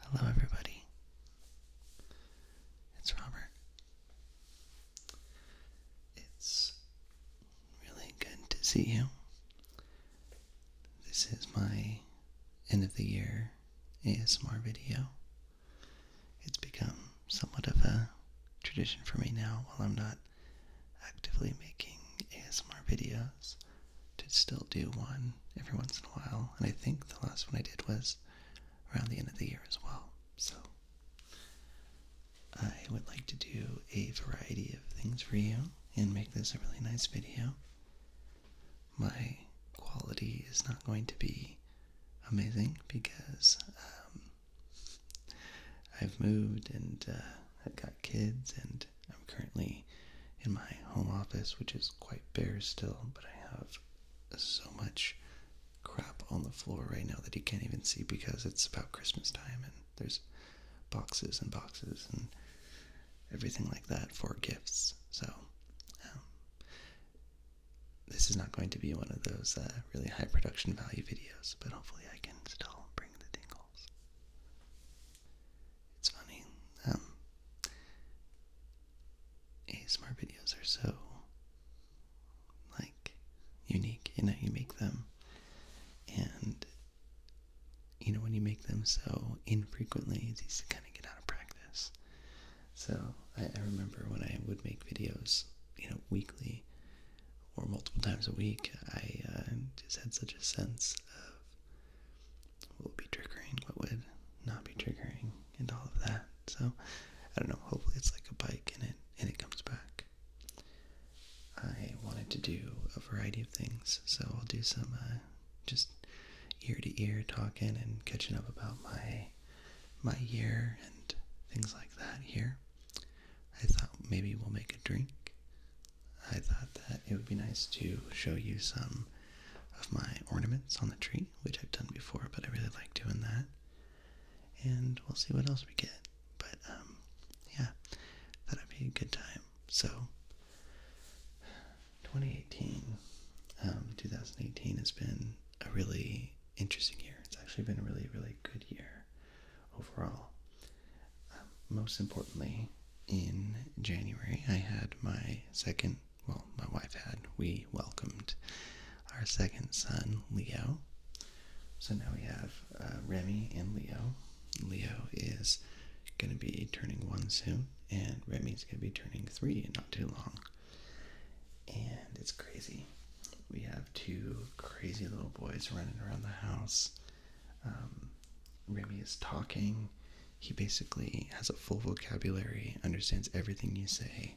Hello, everybody. It's Robert. It's really good to see you. This is my end of the year ASMR video. It's become somewhat of a tradition for me now while I'm not actively making ASMR videos to still do one every once in a while. And I think the last one I did was around the end of the year as well. So I would like to do a variety of things for you and make this a really nice video. My quality is not going to be amazing because um, I've moved and uh, I've got kids, and I'm currently in my home office, which is quite bare still, but I have so much crap on the floor right now that you can't even see because it's about Christmas time and there's boxes and boxes and everything like that for gifts. So, um, this is not going to be one of those uh, really high production value videos, but hopefully I can still bring the tingles. It's funny. Um, ASMR videos are so like unique. You know, you make them, and you know when you make them so infrequently, it's easy to kind of get out of practice. So I, remember when I would make videos, you know, weekly or multiple times a week, I uh, just had such a sense of what be triggering, what would not be triggering, and all of that. So I don't know. Hopefully, it's like a bike and it and it comes back. I wanted to do a variety of things, so I'll do some uh, just ear to ear talking and catching up about my my year and things like that here. I thought maybe we'll make a drink I thought that it would be nice to show you some of my ornaments on the tree, which I've done before, but I really like doing that. And we'll see what else we get. But um, yeah, that would be a good time. So 2018, um, 2018 has been a really interesting year. It's actually been a really, really good year overall most importantly, in January, I had my second, well, my wife had, we welcomed our second son, Leo. So now we have uh, Remy and Leo. Leo is going to be turning one soon, and Remy's going to be turning three in not too long. And it's crazy. We have two crazy little boys running around the house. Um, Remy is talking. He basically has a full vocabulary, understands everything you say.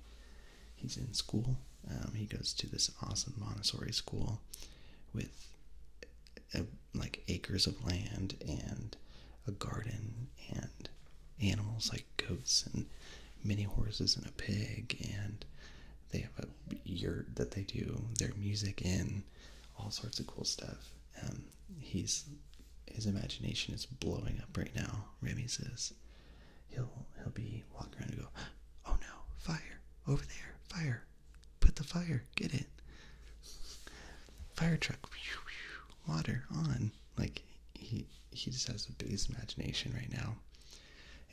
He's in school. Um, he goes to this awesome Montessori school with uh, like acres of land and a garden and animals like goats and many horses and a pig and they have a yurt that they do their music in all sorts of cool stuff um, he's his imagination is blowing up right now. Remy says he'll he'll be walking around and go, oh no, fire over there, fire, put the fire, get it, fire truck, water on. Like he he just has the biggest imagination right now.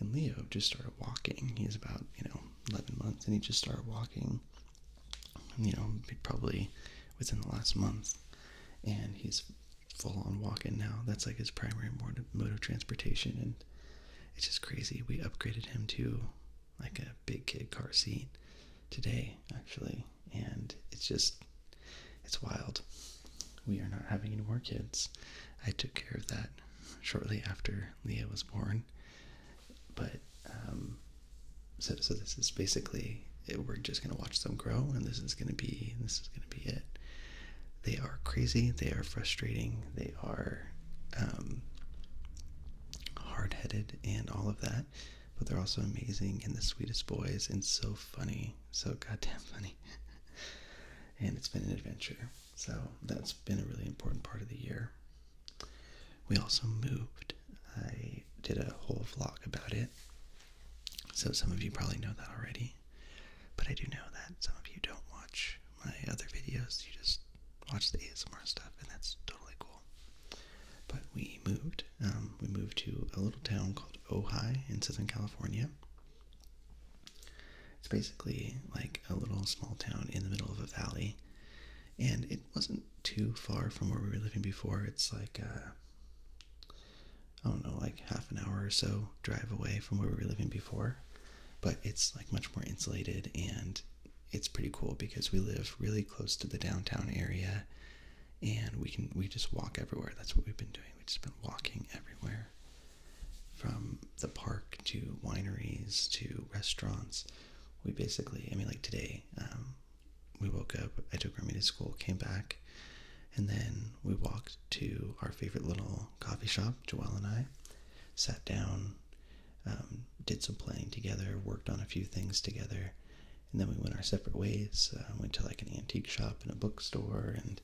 And Leo just started walking. He's about you know eleven months, and he just started walking you know, probably within the last month, and he's full on walking now. That's like his primary mode of transportation, and it's just crazy. We upgraded him to like a big kid car seat today, actually, and it's just it's wild. We are not having any more kids. I took care of that shortly after Leah was born. But um, so so this is basically eh, we're just gonna watch them grow, and this is gonna be this is gonna be it. They are crazy. They are frustrating. They are um, hard-headed and all of that, but they're also amazing and the sweetest boys and so funny, so goddamn funny. and it's been an adventure. So that's been a really important part of the year. We also moved. I did a whole vlog about it. So some of you probably know that already. But I do know that some of you don't watch my other videos. You just watch the ASMR stuff, and that's totally cool. But we moved. Um, we moved to a little town called Ojai in Southern California. It's basically like a little small town in the middle of a valley and it wasn't too far from where we were living before. It's like uh, I don't know, like half an hour or so drive away from where we were living before, but it's like much more insulated and it's pretty cool because we live really close to the downtown area and we can we just walk everywhere. That's what we've been doing. We've just been walking everywhere from the park to wineries to restaurants. We basically, I mean, like today, um, we woke up, I took Remy to school, came back, and then we walked to our favorite little coffee shop, Joelle and I, sat down, um, did some planning together, worked on a few things together, and then we went our separate ways. Um, went to like an antique shop and a bookstore, and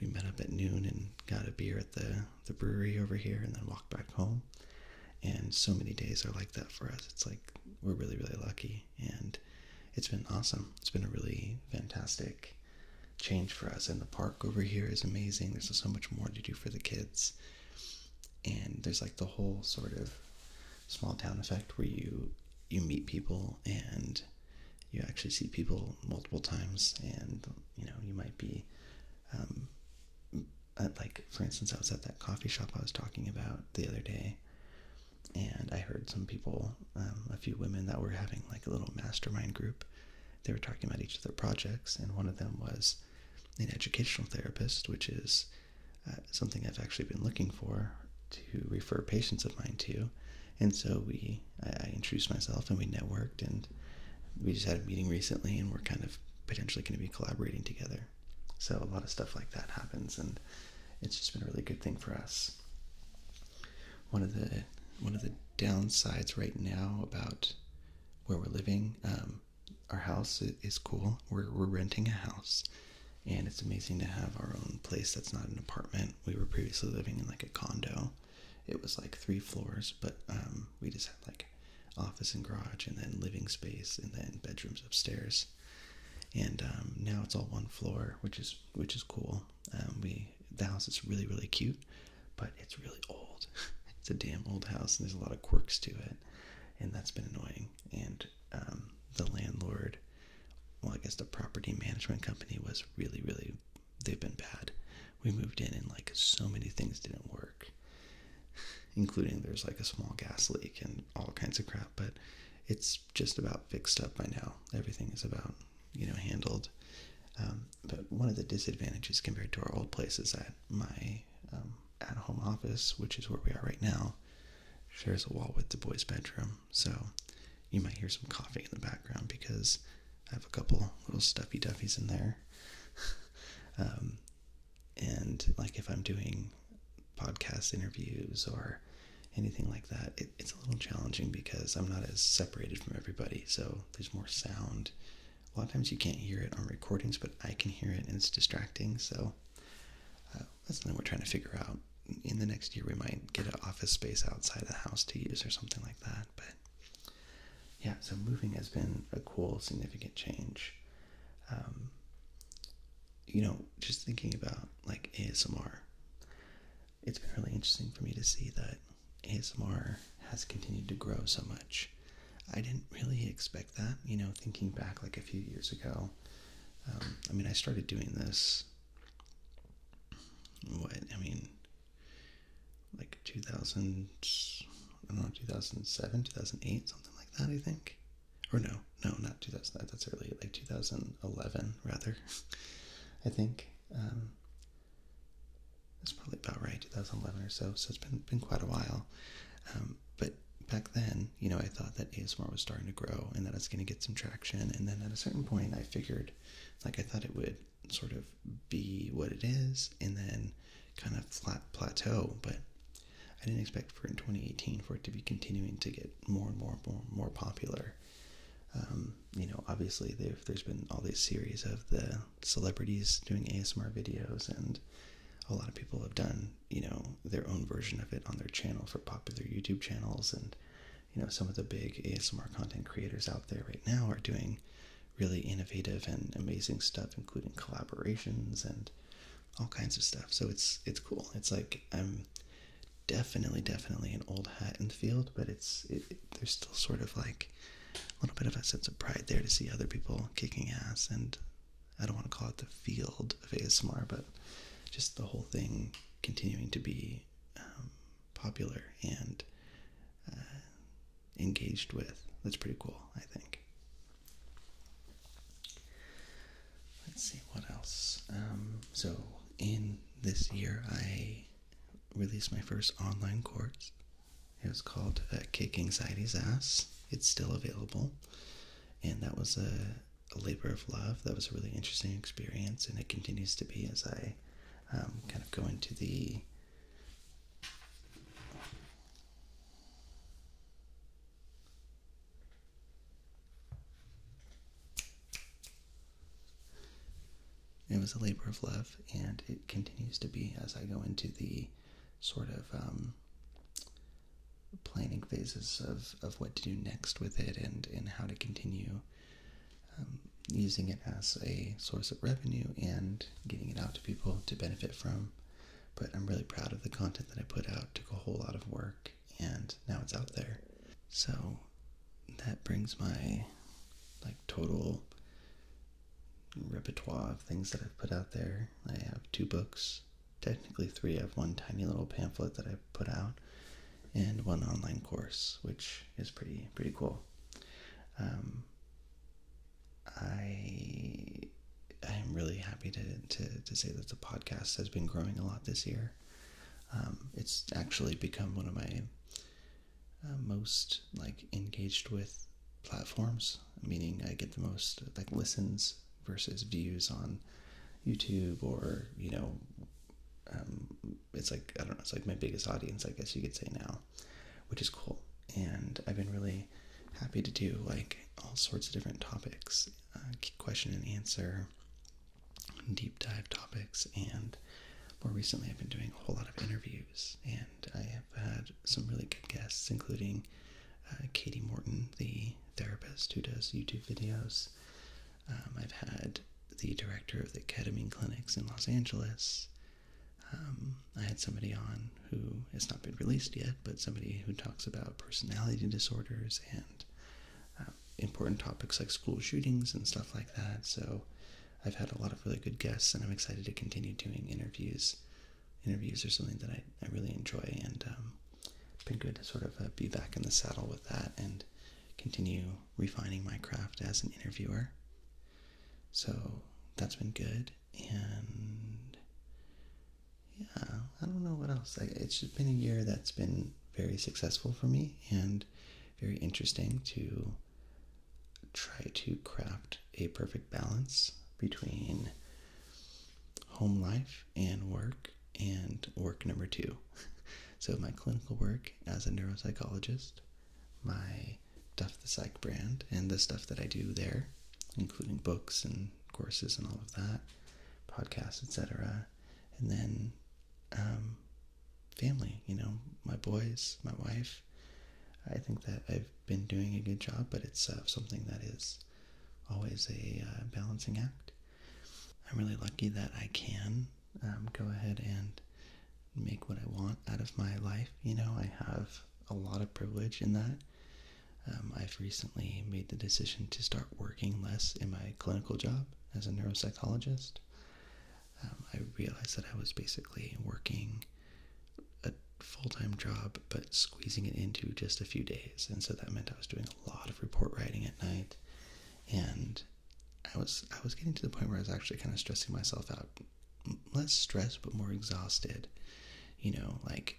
we met up at noon and got a beer at the, the brewery over here, and then walked back home and so many days are like that for us it's like we're really really lucky and it's been awesome it's been a really fantastic change for us and the park over here is amazing there's so much more to do for the kids and there's like the whole sort of small town effect where you you meet people and you actually see people multiple times and you know you might be um, uh, like for instance, I was at that coffee shop I was talking about the other day, and I heard some people, um, a few women that were having like a little mastermind group. They were talking about each other projects, and one of them was an educational therapist, which is uh, something I've actually been looking for to refer patients of mine to. And so we, I introduced myself and we networked, and we just had a meeting recently, and we're kind of potentially going to be collaborating together. So a lot of stuff like that happens, and it's just been a really good thing for us. One of the one of the downsides right now about where we're living, um, our house is cool. We're we're renting a house, and it's amazing to have our own place that's not an apartment. We were previously living in like a condo. It was like three floors, but um, we just had like office and garage, and then living space, and then bedrooms upstairs and um, now it's all one floor, which is which is cool. Um, we the house is really really cute, but it's really old. it's a damn old house, and there's a lot of quirks to it, and that's been annoying. And um, the landlord, well, I guess the property management company was really really they've been bad. We moved in and like so many things didn't work including there's like a small gas leak and all kinds of crap, but it's just about fixed up by now. Everything is about, you know, handled. Um, but one of the disadvantages compared to our old place is that my um, at home office, which is where we are right now, shares a wall with the boys' bedroom. So you might hear some coughing in the background because I have a couple little stuffy duffies in there. Um, and like if I'm doing podcast interviews or anything like that, it's a little challenging because I'm not as separated from everybody, so there's more sound. A lot of times you can't hear it on recordings, but I can hear it and it's distracting, so uh, that's something we're trying to figure out. In the next year, we might get an office space outside the house to use or something like that, but yeah, so moving has been a cool, significant change. Um, you know, just thinking about like ASMR, it's been really interesting for me to see that ASMR has continued to grow so much. I didn't really expect that, you know, thinking back like a few years ago. Um, I mean, I started doing this, what, I mean, like 2000, I don't know, 2007, 2008, something like that, I think or no, no, not 2000. That's early, like 2011 rather. I think it's um, probably about right, 2011 or so. So it's been been quite a while. Um, but back then, you know, I thought that ASMR was starting to grow and that it's going to get some traction. And then at a certain point, I figured, like, I thought it would sort of be what it is and then kind of flat plateau. But I didn't expect for in 2018 for it to be continuing to get more and more and more more popular. Um, you know, obviously there's been all these series of the celebrities doing ASMR videos, and a lot of people have done you know their own version of it on their channel for popular YouTube channels, and you know some of the big ASMR content creators out there right now are doing really innovative and amazing stuff, including collaborations and all kinds of stuff. So it's it's cool. It's like I'm definitely definitely an old hat in the field, but it's there's still sort of like a little bit of a sense of pride there to see other people kicking ass, and I don't want to call it the field of ASMR, but just the whole thing continuing to be um, popular and uh, engaged with. That's pretty cool, I think. Let's see what else. Um, so, in this year, I released my first online course. It was called uh, Kick Anxiety's Ass. It's still available. And that was a, labor of love. That was a really interesting experience, and it continues to be as I um, kind of go into the it was a labor of love, and it continues to be as I go into the sort of um, planning phases of, of what to do next with it and, and how to continue um, using it as a source of revenue and getting it out to people to benefit from. But I'm really proud of the content that I put out. Took a whole lot of work and now it's out there. So that brings my like total repertoire of things that I've put out there. I have two books, technically three. I have one tiny little pamphlet that I put out and one online course, which is pretty pretty cool. Um, I I am really happy to, to, to say that the podcast has been growing a lot this year. Um, it's actually become one of my uh, most like engaged with platforms, meaning I get the most like listens versus views on YouTube or you know, um, it's like I don't know, it's like my biggest audience, I guess you could say now, which is cool. And I've been really happy to do like all sorts of different topics uh, question and answer, deep dive topics, and more recently, I've been doing a whole lot of interviews, and I have had some really good guests, including uh, Katie Morton, the therapist who does YouTube videos. Um, I've had the director of the ketamine clinics in Los Angeles. Um, I had somebody on who has not been released yet, but somebody who talks about personality disorders and. Um, important topics like school shootings and stuff like that. So I've had a lot of really good guests, and I'm excited to continue doing interviews. Interviews are something that I, I really enjoy, and um, been good to sort of uh, be back in the saddle with that and continue refining my craft as an interviewer. So that's been good, and yeah, I don't know what else. I, it's just been a year that's been very successful for me and very interesting to try to craft a perfect balance between home life and work and work number two. so, my clinical work as a neuropsychologist, my Duff the Psych brand, and the stuff that I do there, including books and courses and all of that, podcasts, etc. And then um, family, you know, my boys, my wife. I think that I've been doing a good job, but it's uh, something that is always a uh, balancing act. I'm really lucky that I can um, go ahead and make what I want out of my life. You know, I have a lot of privilege in that. Um, I've recently made the decision to start working less in my clinical job as a neuropsychologist. Um, I realized that I was basically working a full time job but squeezing it into just a few days. And so that meant I was doing a lot of report writing at night. And I was I was getting to the point where I was actually kind of stressing myself out. Less stressed, but more exhausted. You know, like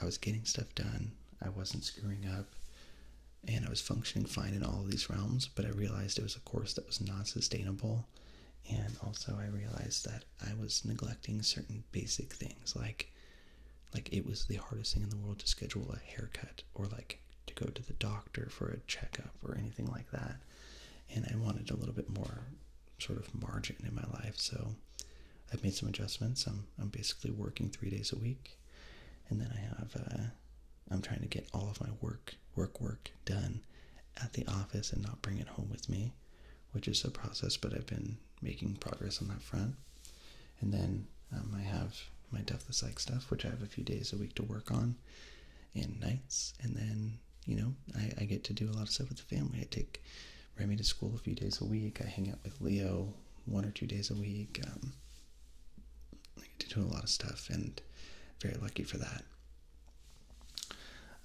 I was getting stuff done, I wasn't screwing up, and I was functioning fine in all of these realms, but I realized it was a course that was not sustainable. And also I realized that I was neglecting certain basic things like like it was the hardest thing in the world to schedule a haircut or like to go to the doctor for a checkup or anything like that. And I wanted a little bit more sort of margin in my life. So I've made some adjustments. I'm I'm basically working three days a week, and then I have uh, I'm trying to get all of my work work work done at the office and not bring it home with me, which is a process. But I've been making progress on that front, and then um, I have my the Psych stuff, which I have a few days a week to work on, and nights, and then you know I, I get to do a lot of stuff with the family. I take bring me to school a few days a week. I hang out with Leo one or two days a week. Um, I get to do a lot of stuff and very lucky for that.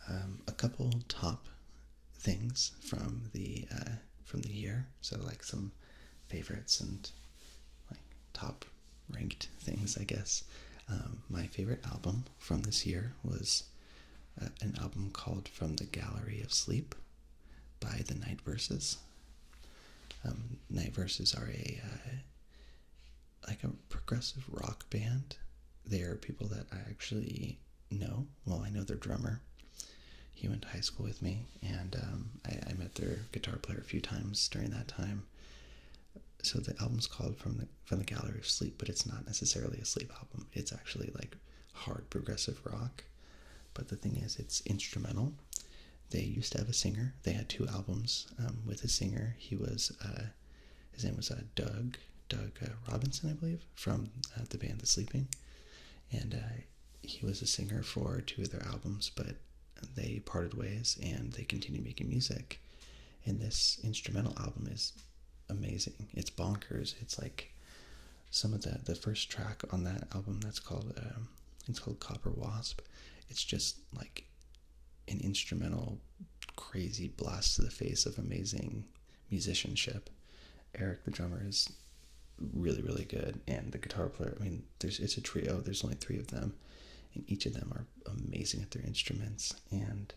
Um, a couple top things from the uh, from the year, so like some favorites and like top ranked things, I guess. Um, my favorite album from this year was uh, an album called From the Gallery of Sleep by the Night Verses. Um, Night Verses are a uh, like a progressive rock band. They are people that I actually know. Well, I know their drummer. He went to high school with me, and um, I, I met their guitar player a few times during that time. So the album's called "From the From the Gallery of Sleep," but it's not necessarily a sleep album. It's actually like hard progressive rock. But the thing is, it's instrumental. They used to have a singer. They had two albums um, with a singer. He was, uh, his name was uh, Doug, Doug uh, Robinson, I believe, from the band The Sleeping. And he was a singer for two of their albums, but they parted ways and they continued making music. And this instrumental album is amazing. It's bonkers. It's like some of the the first track on that album that's called um, it's called Copper Wasp. It's just like an instrumental crazy blast to the face of amazing musicianship. Eric the drummer is really really good and the guitar player I mean there's it's a trio there's only 3 of them and each of them are amazing at their instruments and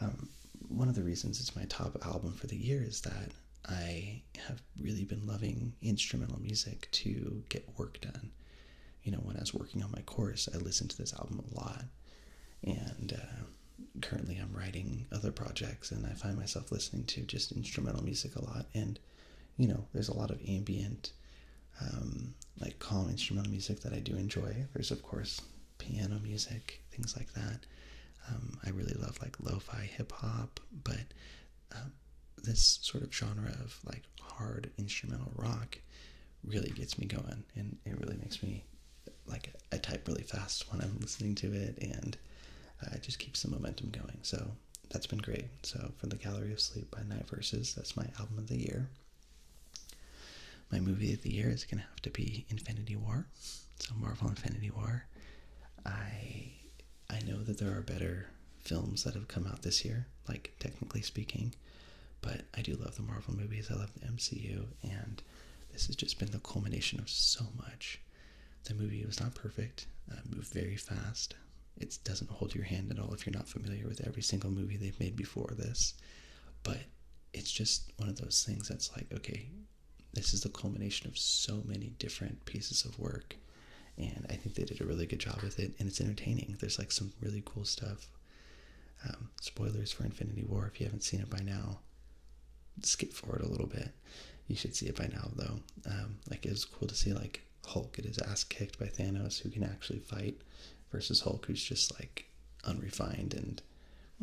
um, one of the reasons it's my top album for the year is that I have really been loving instrumental music to get work done. You know, when I was working on my course, I listened to this album a lot. And uh, currently, I'm writing other projects, and I find myself listening to just instrumental music a lot. And, you know, there's a lot of ambient, um, like calm instrumental music that I do enjoy. There's, of course, piano music, things like that. Um, I really love like lo-fi hip hop, but um, this sort of genre of like hard instrumental rock really gets me going, and it really makes me like I type really fast when I'm listening to it, and it just keeps the momentum going. So that's been great. So for the Gallery of Sleep by Night Verses, that's my album of the year. My movie of the year is gonna have to be Infinity War. So Marvel Infinity War. I I know that there are better films that have come out this year, like technically speaking, but I do love the Marvel movies. I love the MCU, and this has just been the culmination of so much. The movie was not perfect, uh, moved very fast. It doesn't hold your hand at all if you're not familiar with every single movie they've made before this, but it's just one of those things that's like, okay, this is the culmination of so many different pieces of work and i think they did a really good job with it and it's entertaining there's like some really cool stuff um, spoilers for infinity war if you haven't seen it by now skip forward a little bit you should see it by now though um, like it was cool to see like hulk get his ass kicked by thanos who can actually fight versus hulk who's just like unrefined and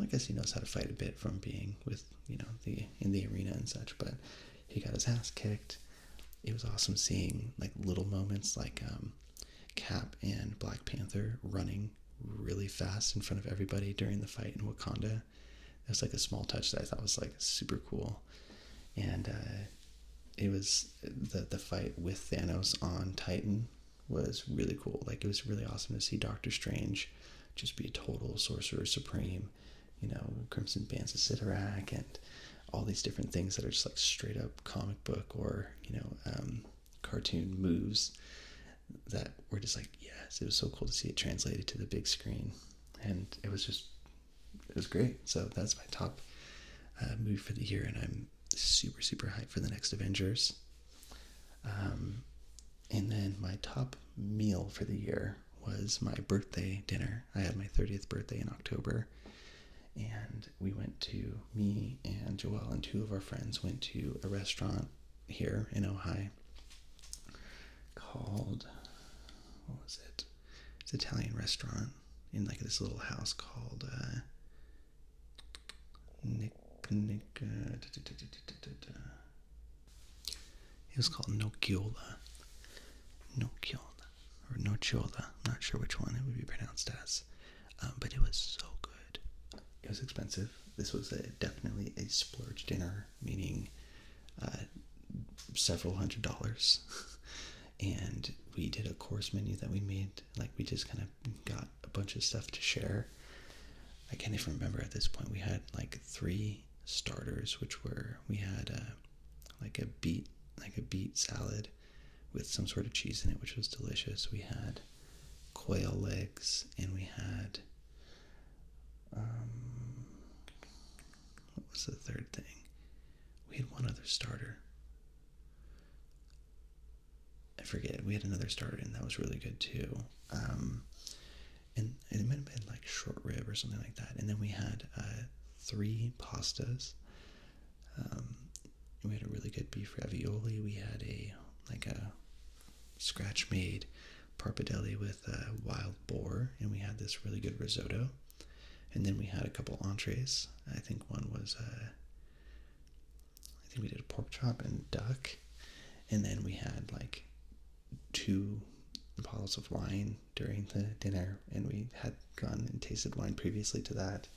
i guess he knows how to fight a bit from being with you know the in the arena and such but he got his ass kicked. It was awesome seeing like little moments like um, Cap and Black Panther running really fast in front of everybody during the fight in Wakanda. It was like a small touch that I thought was like super cool, and uh, it was the the fight with Thanos on Titan was really cool. Like it was really awesome to see Doctor Strange just be a total sorcerer supreme you know, Crimson Bands of Sidorak and all these different things that are just like straight up comic book or, you know, um, cartoon moves that were just like, yes, it was so cool to see it translated to the big screen. And it was just, it was great. So that's my top uh, movie for the year. And I'm super, super hyped for the next Avengers. Um, and then my top meal for the year was my birthday dinner. I had my 30th birthday in October. And we went to, me and Joelle and two of our friends went to a restaurant here in Ohio called, what was it? It's an Italian restaurant in like this little house called uh, Nick, Nick, uh, it was called Nociola. Nociola. Or Nocciola. I'm not sure which one it would be pronounced as. Um, but it was so good. It was expensive. This was definitely a splurge dinner, meaning uh, several hundred dollars. and we did a course menu that we made. Like, we just kind of got a bunch of stuff to share. I can't even remember at this point. We had like three starters, which were we had uh, like a beet like a beet salad with some sort of cheese in it, which was delicious. We had quail legs, and we had um, what was the third thing? We had one other starter. I forget. We had another starter, and that was really good too. Um, and it might have been like short rib or something like that. And then we had uh, three pastas. Um, we had a really good beef ravioli. We had a like a scratch made parpadelli with uh, wild boar, and we had this really good risotto. And then we had a couple entrees. I think one was uh, I think we did a pork chop and duck, and then we had like two bottles of wine during the dinner, and we had gone and tasted wine previously to that.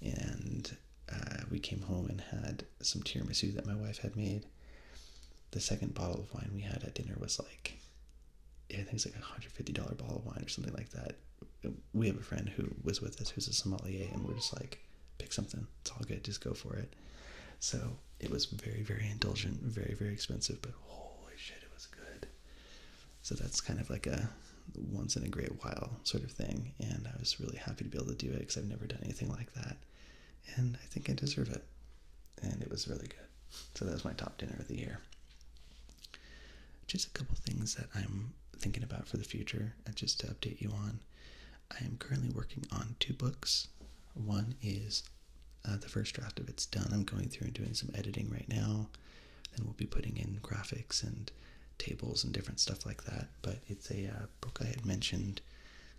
And uh, we came home and had some tiramisu that my wife had made. The second bottle of wine we had at dinner was like, I think it's like a $150 bottle of wine or something like that. We have a friend who was with us who's a sommelier, and we're just like, pick something. It's all good. Just go for it. So it was very, very indulgent, very, very expensive, but holy shit, it was good. So that's kind of like a once in a great while sort of thing, and I was really happy to be able to do it because I've never done anything like that, and I think I deserve it. And it was really good. So that was my top dinner of the year. Just a couple things that I'm thinking about for the future, and just to update you on. I am currently working on two books. One is uh, the first draft of it's done. I'm going through and doing some editing right now. Then we'll be putting in graphics and tables and different stuff like that. But it's a uh, book I had mentioned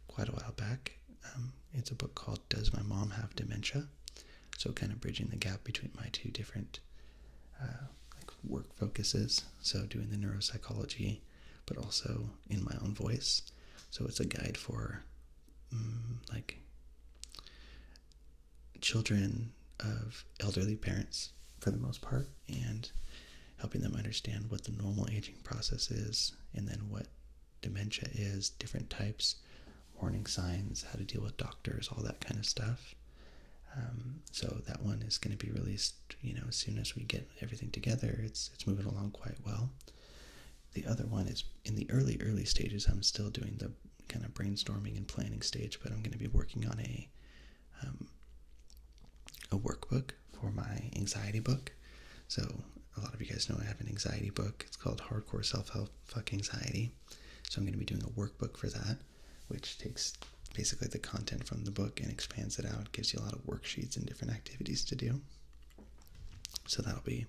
quite a while back. Um, it's a book called Does My Mom Have Dementia? So, kind of bridging the gap between my two different uh, work focuses. So, doing the neuropsychology, but also in my own voice. So, it's a guide for Mm, like children of elderly parents for the most part and helping them understand what the normal aging process is and then what dementia is, different types, warning signs, how to deal with doctors, all that kind of stuff. Um, so that one is going to be released, you know, as soon as we get everything together. It's it's moving along quite well, the other one is in the early, early stages. I'm still doing the kind of brainstorming and planning stage, but I'm going to be working on a um, a workbook for my anxiety book. So a lot of you guys know I have an anxiety book. It's called Hardcore Self Help Fuck Anxiety. So I'm going to be doing a workbook for that, which takes basically the content from the book and expands it out, gives you a lot of worksheets and different activities to do. So that'll be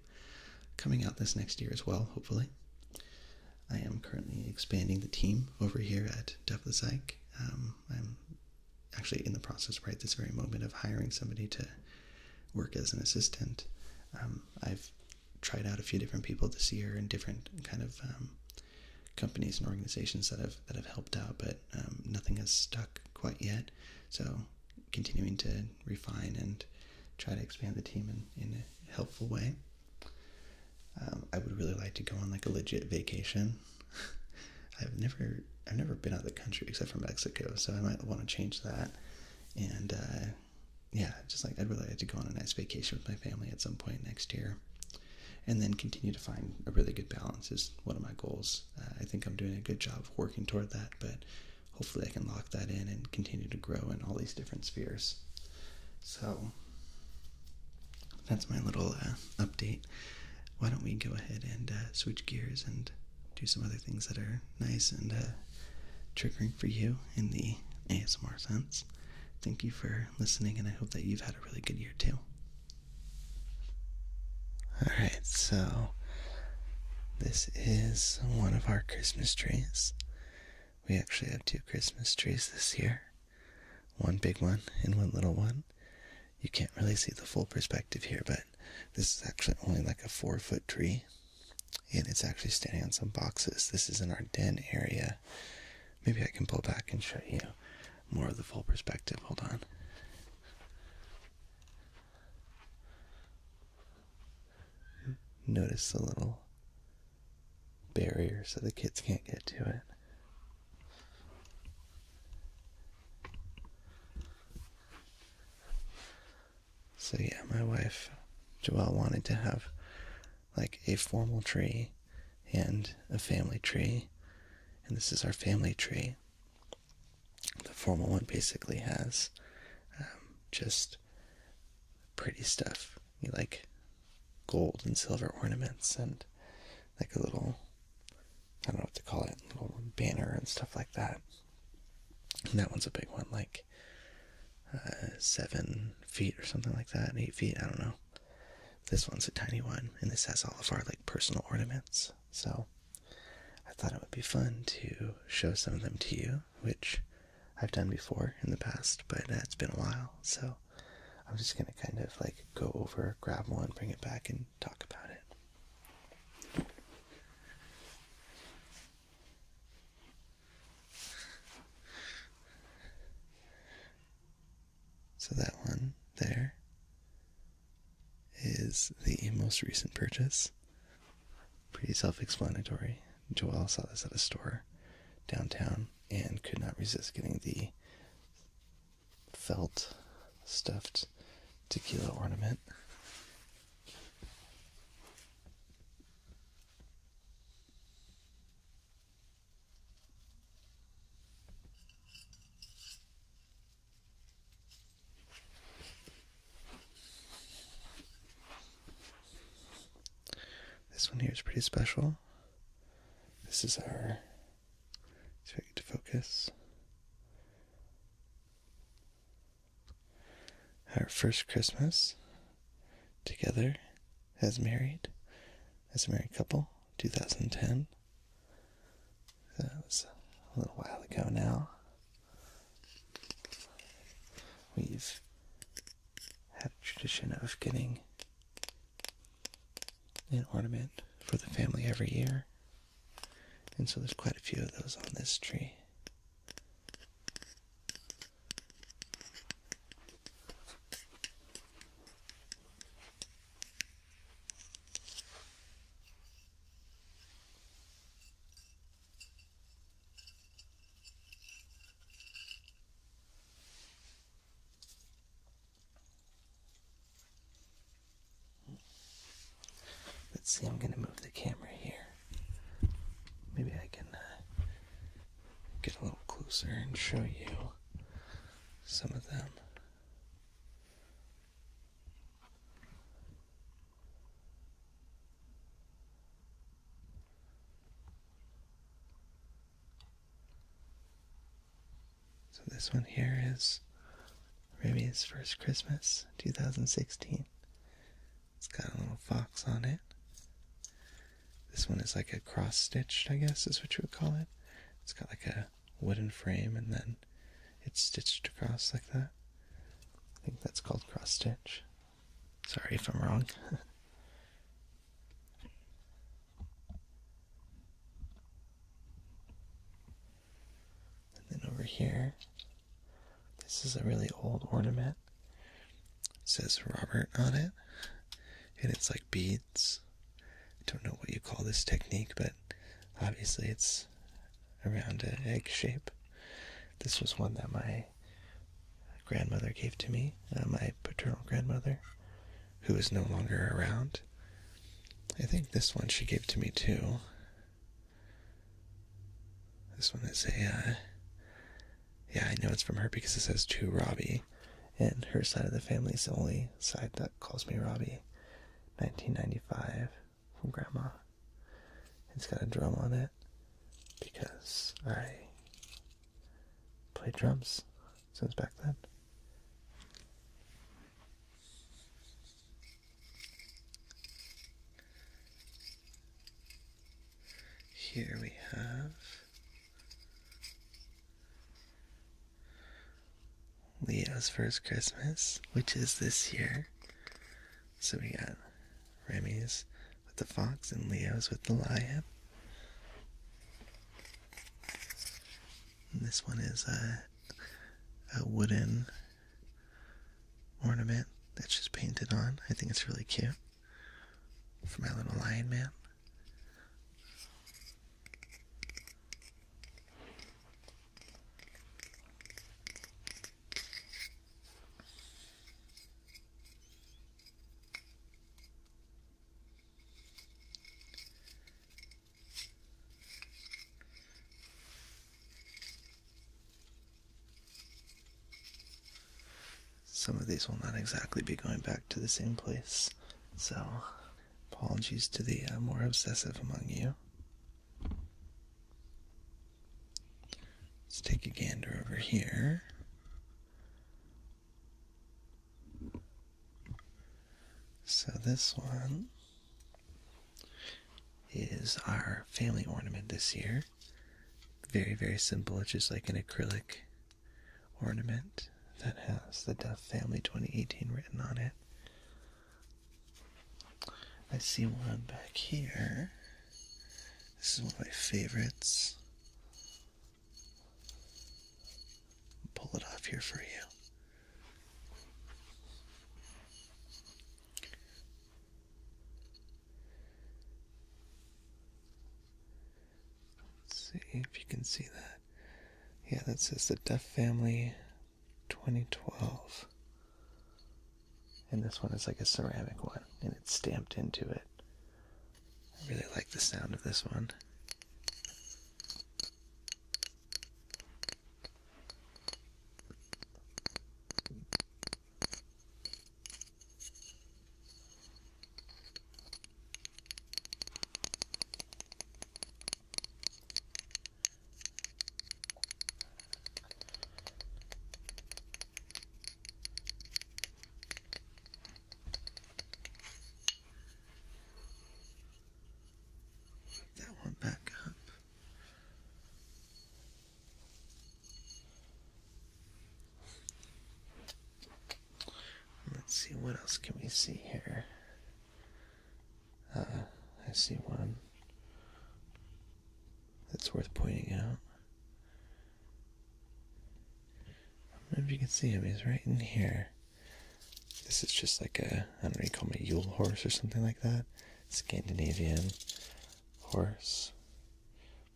coming out this next year as well, hopefully. I am currently expanding the team over here at Depth of Psych. Um, I'm actually in the process right this very moment of hiring somebody to work as an assistant. Um, I've tried out a few different people this year in different kind of um, companies and organizations that have that have helped out, but nothing has stuck quite yet. So continuing to refine and try to expand the team in, in a helpful way. Um, I would really like to go on like a legit vacation. I've never I've never been out of the country except for Mexico, so I might want to change that. And uh, yeah, just like I'd really like to go on a nice vacation with my family at some point next year, and then continue to find a really good balance is one of my goals. Uh, I think I'm doing a good job working toward that, but hopefully I can lock that in and continue to grow in all these different spheres. So that's my little uh, update. Why don't we go ahead and uh, switch gears and do some other things that are nice and uh, triggering for you in the ASMR sense. Thank you for listening, and I hope that you've had a really good year too. Alright, so this is one of our Christmas trees. We actually have two Christmas trees this year one big one and one little one. You can't really see the full perspective here, but this is actually only like a four foot tree. And it's actually standing on some boxes. This is in our den area. Maybe I can pull back and show you more of the full perspective. Hold on. Notice the little barrier so the kids can't get to it. So, yeah, my wife, Joelle, wanted to have like a formal tree and a family tree. And this is our family tree the formal one basically has um, just pretty stuff. You like gold and silver ornaments and like a little, I don't know what to call it, little banner and stuff like that. And that one's a big one, like uh, seven feet or something like that, eight feet, I don't know. This one's a tiny one, and this has all of our like personal ornaments. So I thought it would be fun to show some of them to you which I've done before in the past, but uh, it's been a while. So I'm just going to kind of like go over, grab one, bring it back, and talk about it. So that one there is the most recent purchase. Pretty self explanatory. Joel saw this at a store downtown and could not resist getting the felt stuffed tequila ornament. This one here is pretty special. This is our. Let's get to focus. Our first Christmas together as married, as a married couple, 2010. That was a little while ago now. We've had a tradition of getting an ornament for the family every year, and so there's quite a few of those on this tree. Let's see, I'm going to move the camera here. Maybe I can uh, get a little closer and show you some of them. So this one here is maybe Remy's First Christmas 2016. It's got a little fox on it. This one is like a cross stitched, I guess is what you would call it. It's got like a wooden frame and then it's stitched across like that. I think that's called cross stitch. Sorry if I'm wrong. and then over here, this is a really old ornament. says Robert on it, and it's like beads. I don't know what you call this technique, but obviously it's around an egg shape. This was one that my grandmother gave to me, uh, my paternal grandmother, who is no longer around. I think this one she gave to me too. This one is a, uh, yeah, I know it's from her because it says to Robbie, and her side of the family is the only side that calls me Robbie. 1995 from Grandma. It's got a drum on it because I play drums since back then. Here we have Leo's First Christmas, which is this year. So we got Remy's with the fox and Leo's with the lion. this one is a, a wooden ornament that's just painted on. I think it's really cute. For my little lion man. Some of these will not exactly be going back to the same place, so apologies to the uh, more obsessive among you. Let's take a gander over here. So this one is our family ornament this year. Very, very simple. It's just like an acrylic ornament that has the Duff Family 2018 written on it. I see one back here. This is one of my favorites. Pull it off here for you. see if you can see that. Yeah, that says the Duff Family 2012. And this one is like a ceramic one, and it's stamped into it. I really like the sound of this one that one back up. Let's see what else can we see here. Uh, I see one, that's worth pointing out. I don't know if you can see him, he's right in here. This is just like a, I don't know, you call me Yule horse or something like that. Scandinavian horse.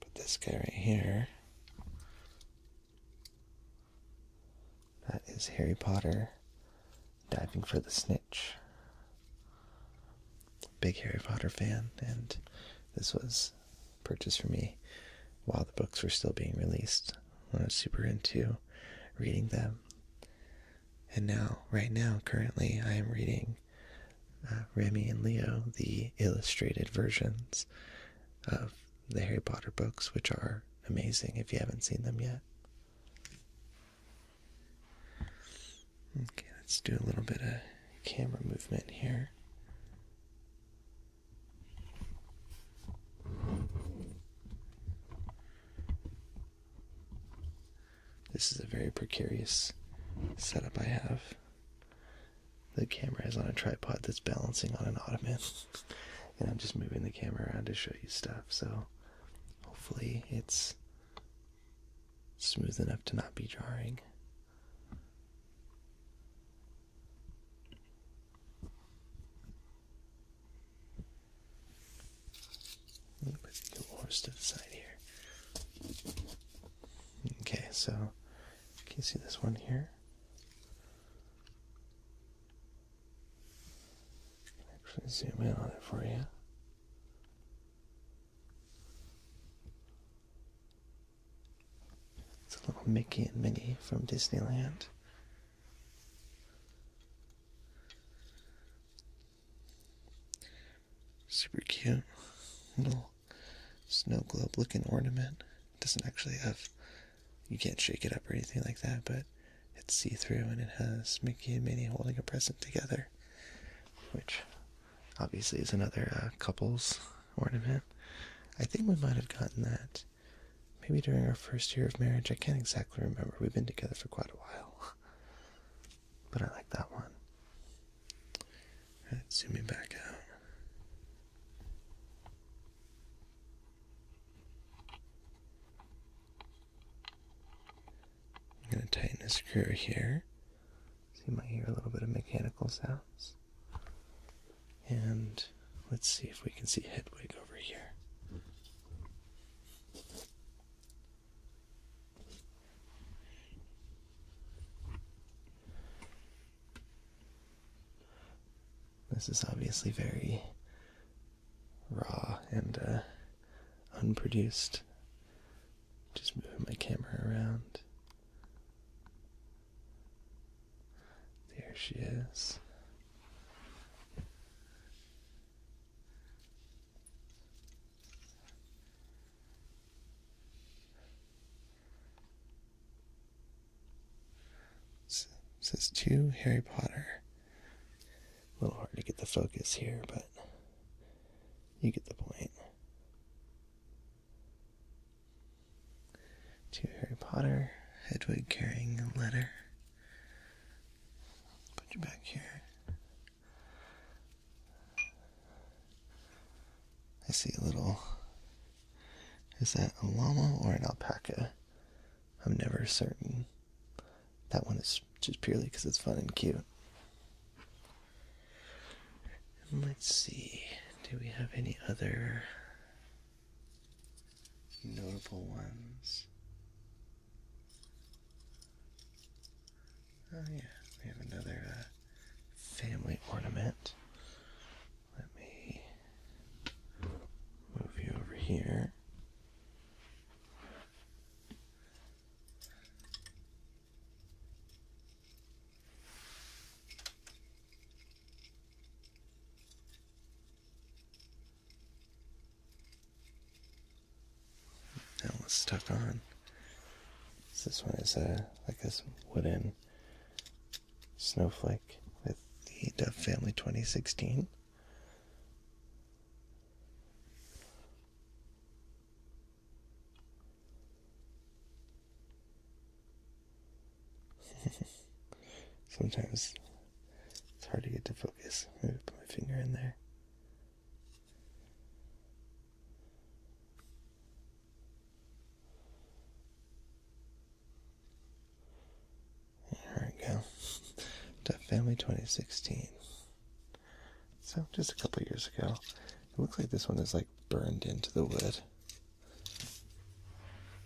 But this guy right here, that is Harry Potter diving for the snitch big Harry Potter fan, and this was purchased for me while the books were still being released. I was super into reading them. And now, right now, currently, I am reading uh, Remy and Leo, the illustrated versions of the Harry Potter books, which are amazing if you haven't seen them yet. Okay, let's do a little bit of camera movement here. This is a very precarious setup I have. The camera is on a tripod that's balancing on an ottoman, and I'm just moving the camera around to show you stuff, so hopefully it's smooth enough to not be jarring. A little bit yours to the side here. Okay, so can you see this one here? Actually, zoom in on it for you. It's a little Mickey and Minnie from Disneyland. Super cute little snow globe looking ornament. It doesn't actually have, you can't shake it up or anything like that, but it's see through and it has Mickey and Minnie holding a present together, which obviously is another uh, couples ornament. I think we might have gotten that maybe during our first year of marriage. I can't exactly remember. We've been together for quite a while. But I like that one. Alright, zooming back out. I'm going to tighten the screw here so you might hear a little bit of mechanical sounds. And let's see if we can see Hedwig over here. This is obviously very raw and uh, unproduced just moving my camera around. There she is. says two Harry Potter. A little hard to get the focus here, but you get the point to Harry Potter, Hedwig carrying a letter. Put you back here. I see a little. Is that a llama or an alpaca? I'm never certain. That one is just purely because it's fun and cute let's see, do we have any other notable ones? Oh, yeah, we have another uh, family ornament. Let me move you over here. That was stuck on. this one is a uh, like this wooden snowflake with the Dove Family 2016. Sometimes it's hard to get to focus. Maybe put my finger in there. There we go. Tough Family 2016. So just a couple years ago. It looks like this one is like burned into the wood.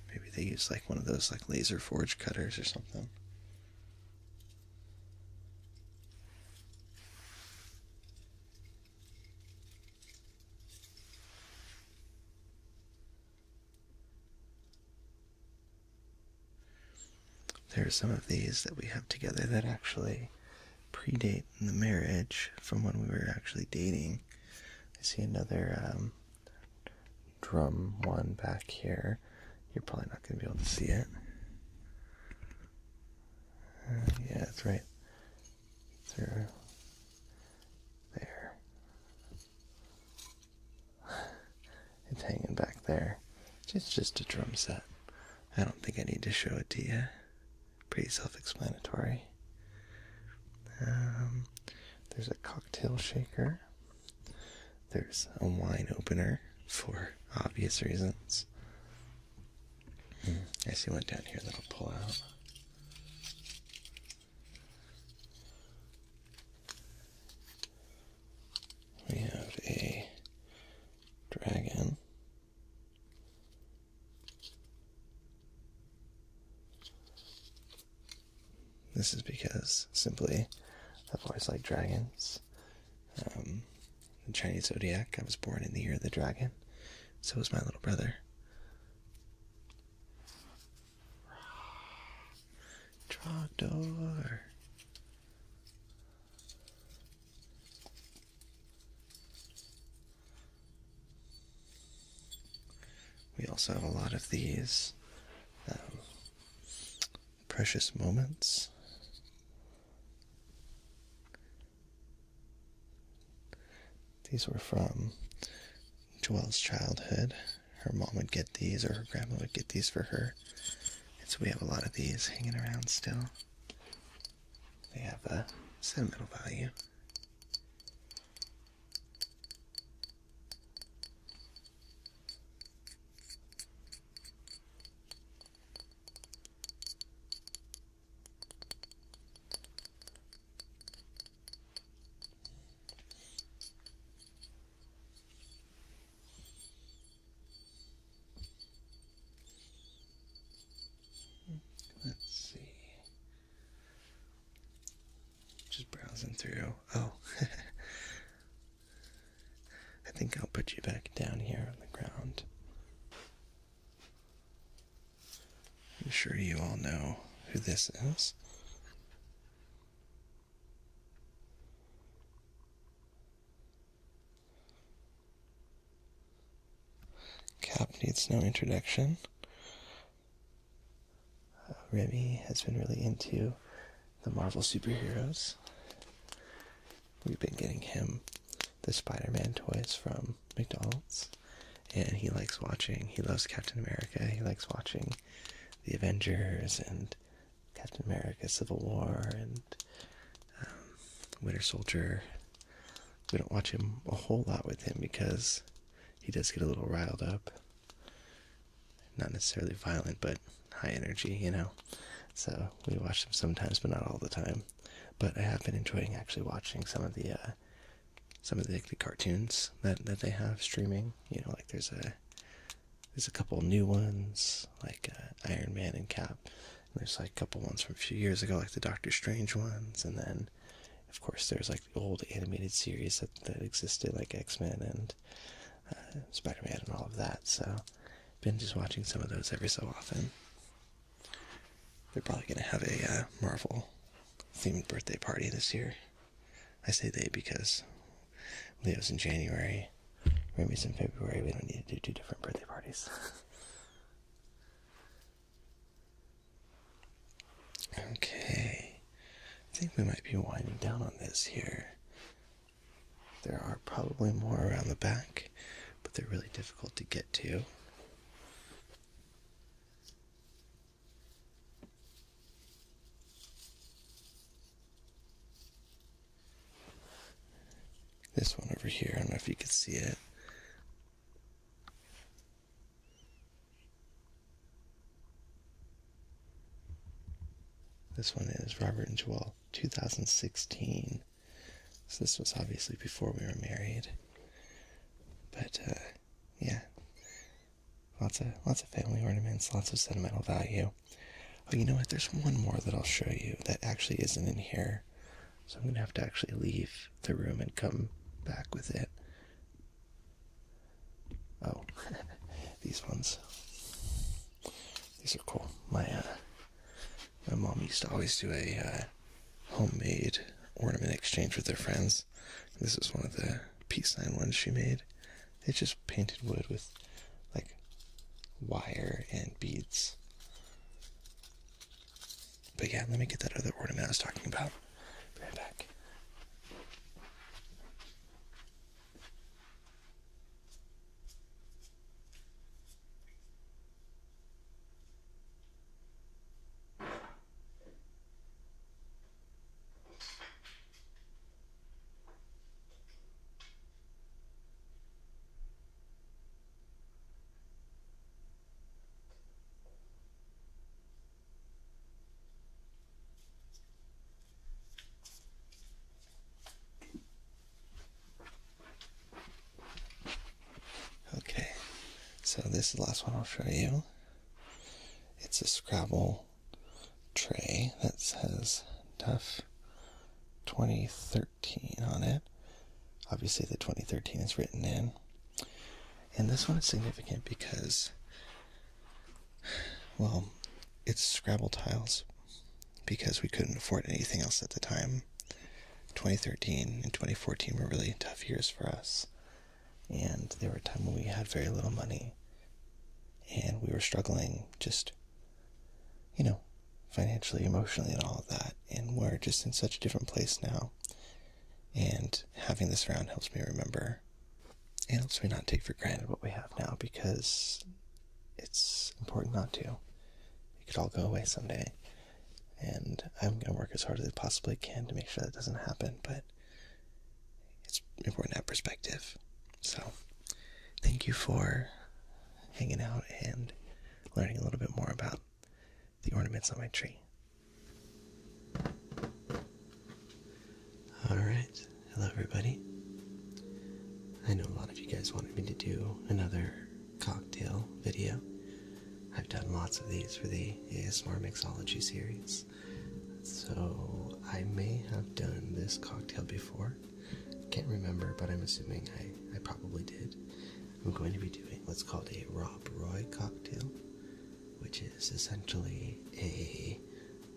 Maybe they use like one of those like laser forge cutters or something. There are some of these that we have together that actually predate the marriage from when we were actually dating. I see another um, drum one back here. You're probably not going to be able to see it. Uh, yeah, that's right. Through there. it's hanging back there. It's just a drum set. I don't think I need to show it to you pretty self-explanatory. Um, there's a cocktail shaker. There's a wine opener for obvious reasons. Hmm, I see one down here that'll pull out. We have a dragon this is because simply I've always liked dragons. Um, the Chinese zodiac, I was born in the year of the dragon, so was my little brother. Trogdor. We also have a lot of these um, precious moments. These were from Joelle's childhood. Her mom would get these, or her grandma would get these for her. And so we have a lot of these hanging around still. They have a sentimental value. Let's see. Just browsing through. Oh. I think I'll put you back down here on the ground. I'm sure you all know who this is. Cap needs no introduction. Uh, Remy has been really into the Marvel superheroes. We've been getting him the Spider Man toys from McDonald's. And he likes watching, he loves Captain America. He likes watching the Avengers and Captain America Civil War and um, Winter Soldier we don't watch him a whole lot with him because he does get a little riled up. Not necessarily violent, but high energy, you know. So we watch him sometimes, but not all the time. But I have been enjoying actually watching some of the uh, some of the, cartoons that that they have streaming. You know, like there's a there's a couple new ones like uh, Iron Man and Cap there's like a couple ones from a few years ago, like the Doctor Strange ones, and then, of course, there's like the old animated series that, that existed, like X Men and uh, Spider Man and all of that. So, been just watching some of those every so often. They're probably gonna have a uh, Marvel themed birthday party this year. I say they because Leo's in January, Remy's in February. We don't need to do two different birthday parties. Okay, I think we might be winding down on this here. There are probably more around the back, but they're really difficult to get to. This one over here, I don't know if you can see it, this one is Robert and Joel, 2016. So this was obviously before we were married. But uh, yeah, lots of lots of family ornaments, lots of sentimental value. Oh, you know what? There's one more that I'll show you that actually isn't in here. So I'm going to have to actually leave the room and come back with it. Oh, these ones. These are cool. My uh, my mom used to always do a uh, homemade ornament exchange with her friends. This is one of the peace sign ones she made. It's just painted wood with like wire and beads. But yeah, let me get that other ornament I was talking about. right back. Okay, so this is the last one I'll show you. It's a Scrabble tray that says Duff 2013 on it. Obviously, the 2013 is written in. And this one is significant because, well, it's Scrabble tiles because we couldn't afford anything else at the time. 2013 and 2014 were really tough years for us. And there were times when we had very little money and we were struggling just, you know, financially, emotionally, and all of that. And we're just in such a different place now. And having this round helps me remember and helps me not take for granted what we have now because it's important not to. It could all go away someday. And I'm going to work as hard as I possibly can to make sure that doesn't happen, but it's important to have perspective. So, thank you for hanging out and learning a little bit more about the ornaments on my tree. All right, hello everybody. I know a lot of you guys wanted me to do another cocktail video. I've done lots of these for the ASMR Mixology series, so I may have done this cocktail before. Can't remember, but I'm assuming I, I probably did. I'm going to be doing what's called a Rob Roy cocktail, which is essentially a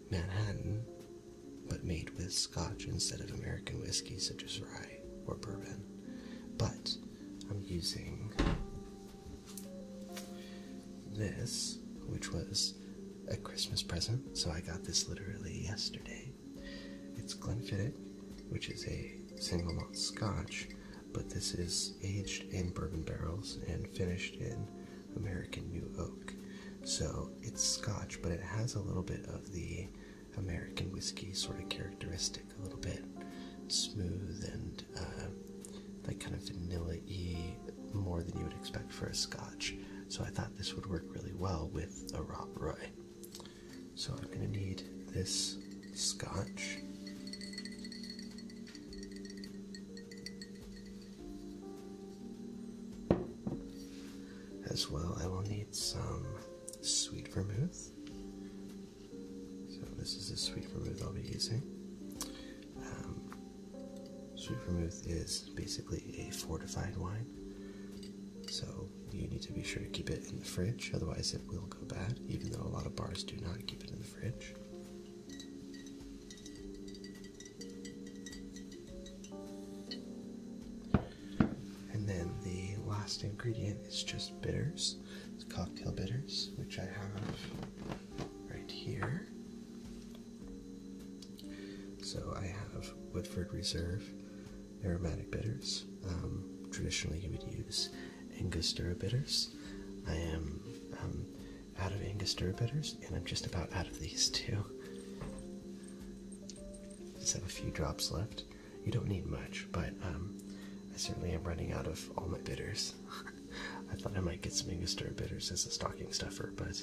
Manhattan but made with scotch instead of American whiskey such as rye or bourbon. But I'm using this, which was a Christmas present, so I got this literally yesterday. It's Glenfiddich, which is a single malt scotch but this is aged in bourbon barrels and finished in American New Oak. So it's Scotch, but it has a little bit of the American whiskey sort of characteristic, a little bit smooth and uh, like kind of vanilla y more than you would expect for a Scotch. So I thought this would work really well with a Rob Roy. So I'm going to need this scotch. As well, I will need some sweet vermouth. So, this is the sweet vermouth I'll be using. Um, sweet vermouth is basically a fortified wine, so you need to be sure to keep it in the fridge, otherwise, it will go bad, even though a lot of bars do not keep in the fridge. And then the last ingredient is just bitters. cocktail bitters, which I have right here. So I have Woodford Reserve aromatic bitters. Um, traditionally, you would use Angostura bitters. I am um, out of Angostura bitters, and I'm just about out of these too. Just have a few drops left. You don't need much, but um, I certainly am running out of all my bitters. I thought I might get some Angostura bitters as a stocking stuffer, but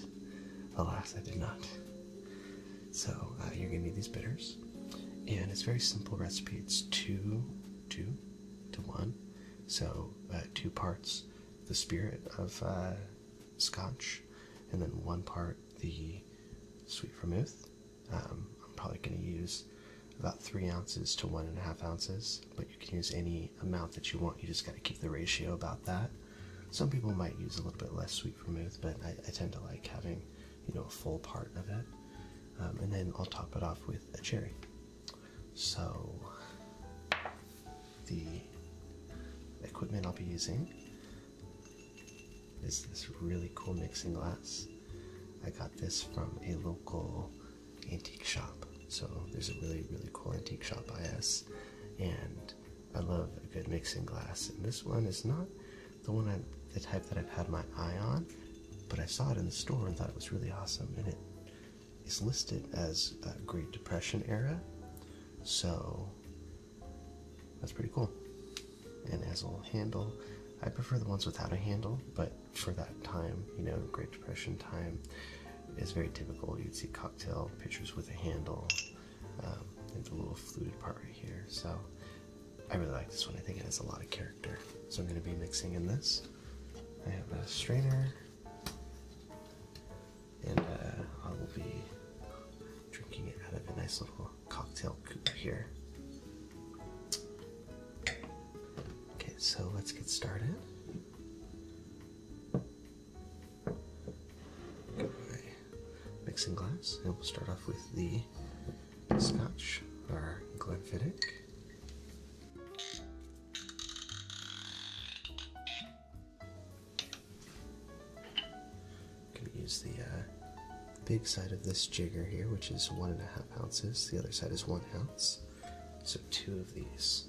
alas, I did not. So uh, you're gonna need these bitters, and it's a very simple recipe. It's two two to one. So uh, two parts the spirit of uh, scotch, and then one part the sweet vermouth. Um, I'm probably going to use about three ounces to one and a half ounces, but you can use any amount that you want. You just got to keep the ratio about that. Some people might use a little bit less sweet vermouth, but I, tend to like having, you know, a full part of it. Um, and then I'll top it off with a cherry. So, the equipment I'll be using is this really cool mixing glass. I got this from a local antique shop. So, there's a really, really cool antique shop by us, and I love a good mixing glass. And this one is not the one I the type that I've had my eye on, but I saw it in the store and thought it was really awesome. And it is listed as uh, Great Depression era, so that's pretty cool. And as a little handle. I prefer the ones without a handle, but for that time, you know, Great Depression time is very typical. You'd see cocktail pictures with a handle. Um, there's a little fluted part right here, so I really like this one. I think it has a lot of character. So I'm going to be mixing in this. I have a strainer, and uh, I will be drinking it out of a nice little cocktail cooler here. Okay, so let's get started. my mixing glass, and we'll start off with the Scotch, or Glenfiddich gonna use the uh, big side of this jigger here, which is one and a half ounces. The other side is one ounce. So two of these.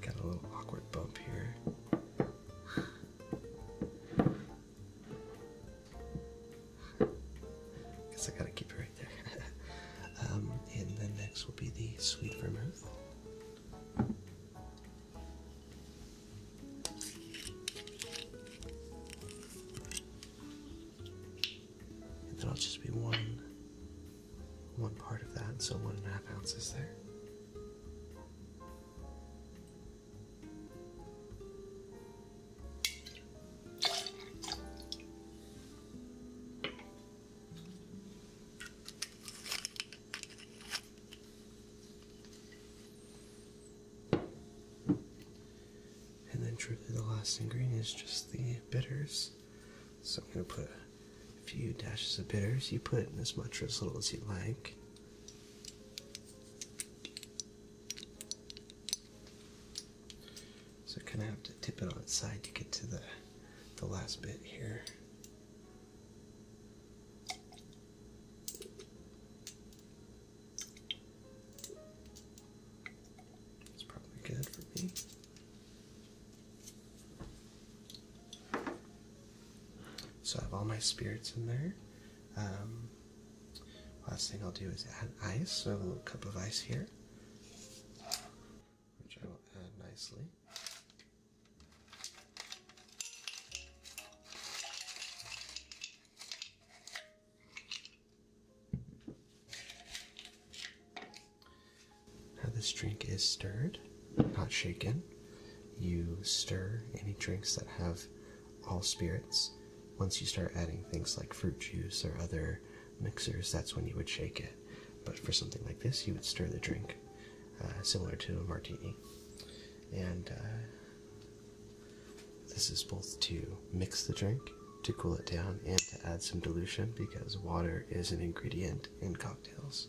Got a little awkward bump here. Guess I gotta keep her Um, and then next will be the sweet vermouth. And then I'll just be one one part of that, so one and a half ounces there. And then truly the last ingredient is just the bitters. So I'm going to put a few dashes of bitters. You put in as much or as little as you like. So I kind of have to tip it on its side to get to the, the last bit here. It's probably good for me. So I have all my spirits in there. Um, last thing I'll do is add ice, so I have a little cup of ice here which I will add nicely. Now, this drink is stirred, not shaken. You stir any drinks that have all spirits. Once you start adding things like fruit juice or other mixers, that's when you would shake it. But for something like this, you would stir the drink, uh, similar to a martini. And uh, this is both to mix the drink, to cool it down, and to add some dilution because water is an ingredient in cocktails.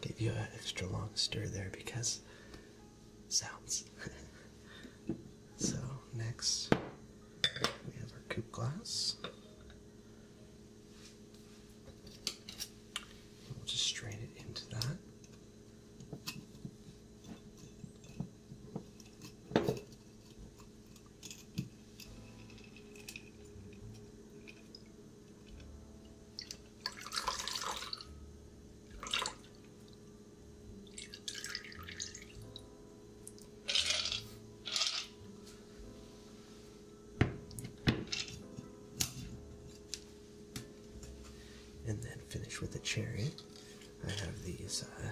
Give you an extra long stir there because sounds. so next we have our coupe glass. We'll just strain it into that. And then finish with the cherry. I have these uh,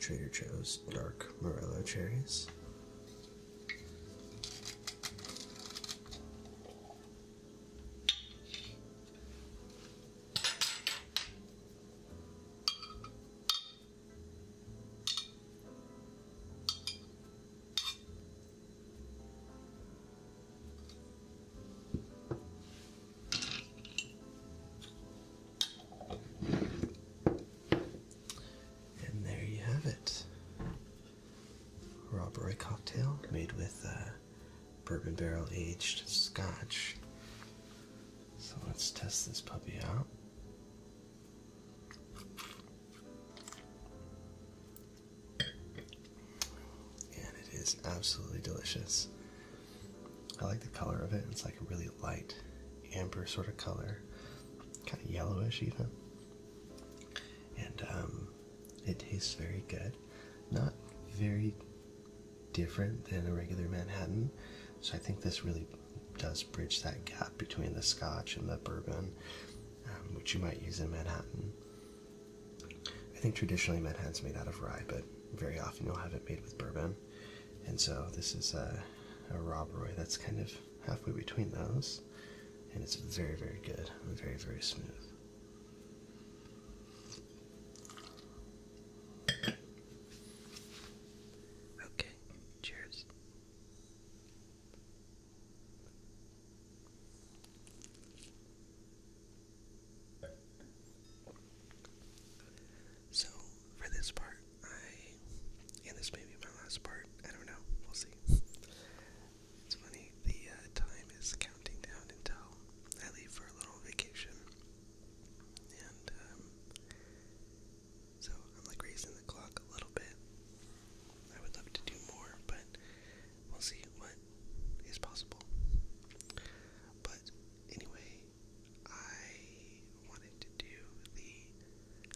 Trader Joe's dark marilla cherries. And there you have it. Rob Roy cocktail made with uh, bourbon barrel aged scotch. So let's test this puppy out. And it is absolutely delicious. I like the color of it. It's like a really light amber sort of color, kind of yellowish even. And um, it tastes very good. Not very different than a regular Manhattan. So I think this really does bridge that gap between the Scotch and the bourbon, um, which you might use in Manhattan. I think traditionally Manhattan's made out of rye, but very often you'll have it made with bourbon. And so this is a Rob Roy that's kind of halfway between those and it's very, very good, very, very smooth. Okay, cheers. So, for this part, and this may be my last part, I don't know, we'll see. It's funny, the uh, time is counting down until I leave for a little vacation. And, um, so I'm like raising the clock a little bit. I would love to do more, but we'll see what is possible. But anyway, I wanted to do the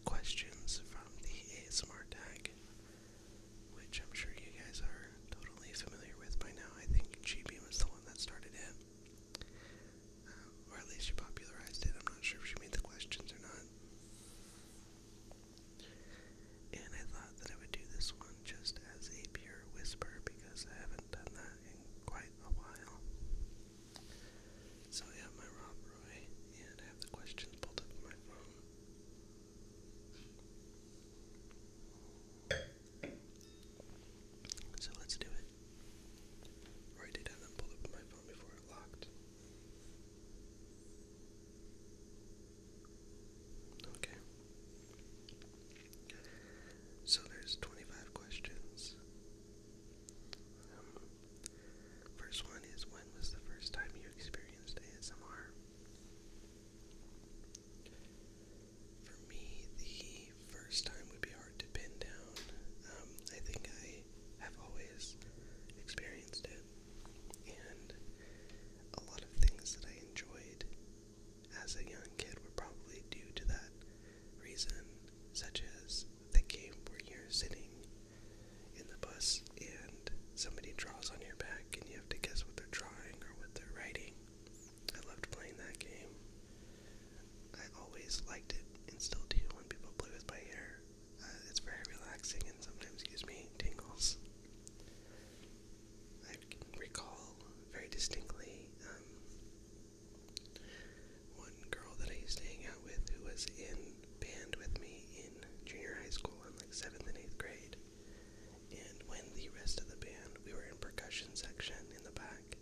questions from the ASMR tag which I'm sure you guys are totally familiar with by now. I think Chibi was the one that started it, uh, or at least she popularized it. I'm not sure if she made the questions or not. And I thought that I would do this one just as a pure whisper because I haven't done that in quite a while. So I have my Rob Roy and have the questions pulled up on my phone. So let's do it. Or I did up my phone before it locked. Okay. So there's 25 questions. Um, first one is when was the first time you experienced ASMR? For me, the first time would be hard to pin down. Um, I think I have always experienced it, and a lot of things that I enjoyed as a young kid were probably due to that reason, such as the game where you're sitting in the bus and somebody draws on your back and you have to guess what they're drawing or what they're writing. I loved playing that game. I always liked it and still do when people play with my hair. Uh, it's very relaxing and sometimes gives me tingles. I can recall very distinctly um, one girl that I used to hang out with who was in band with me in junior high school in like seventh and eighth grade. And when the rest of the band, we were in percussion section in the back,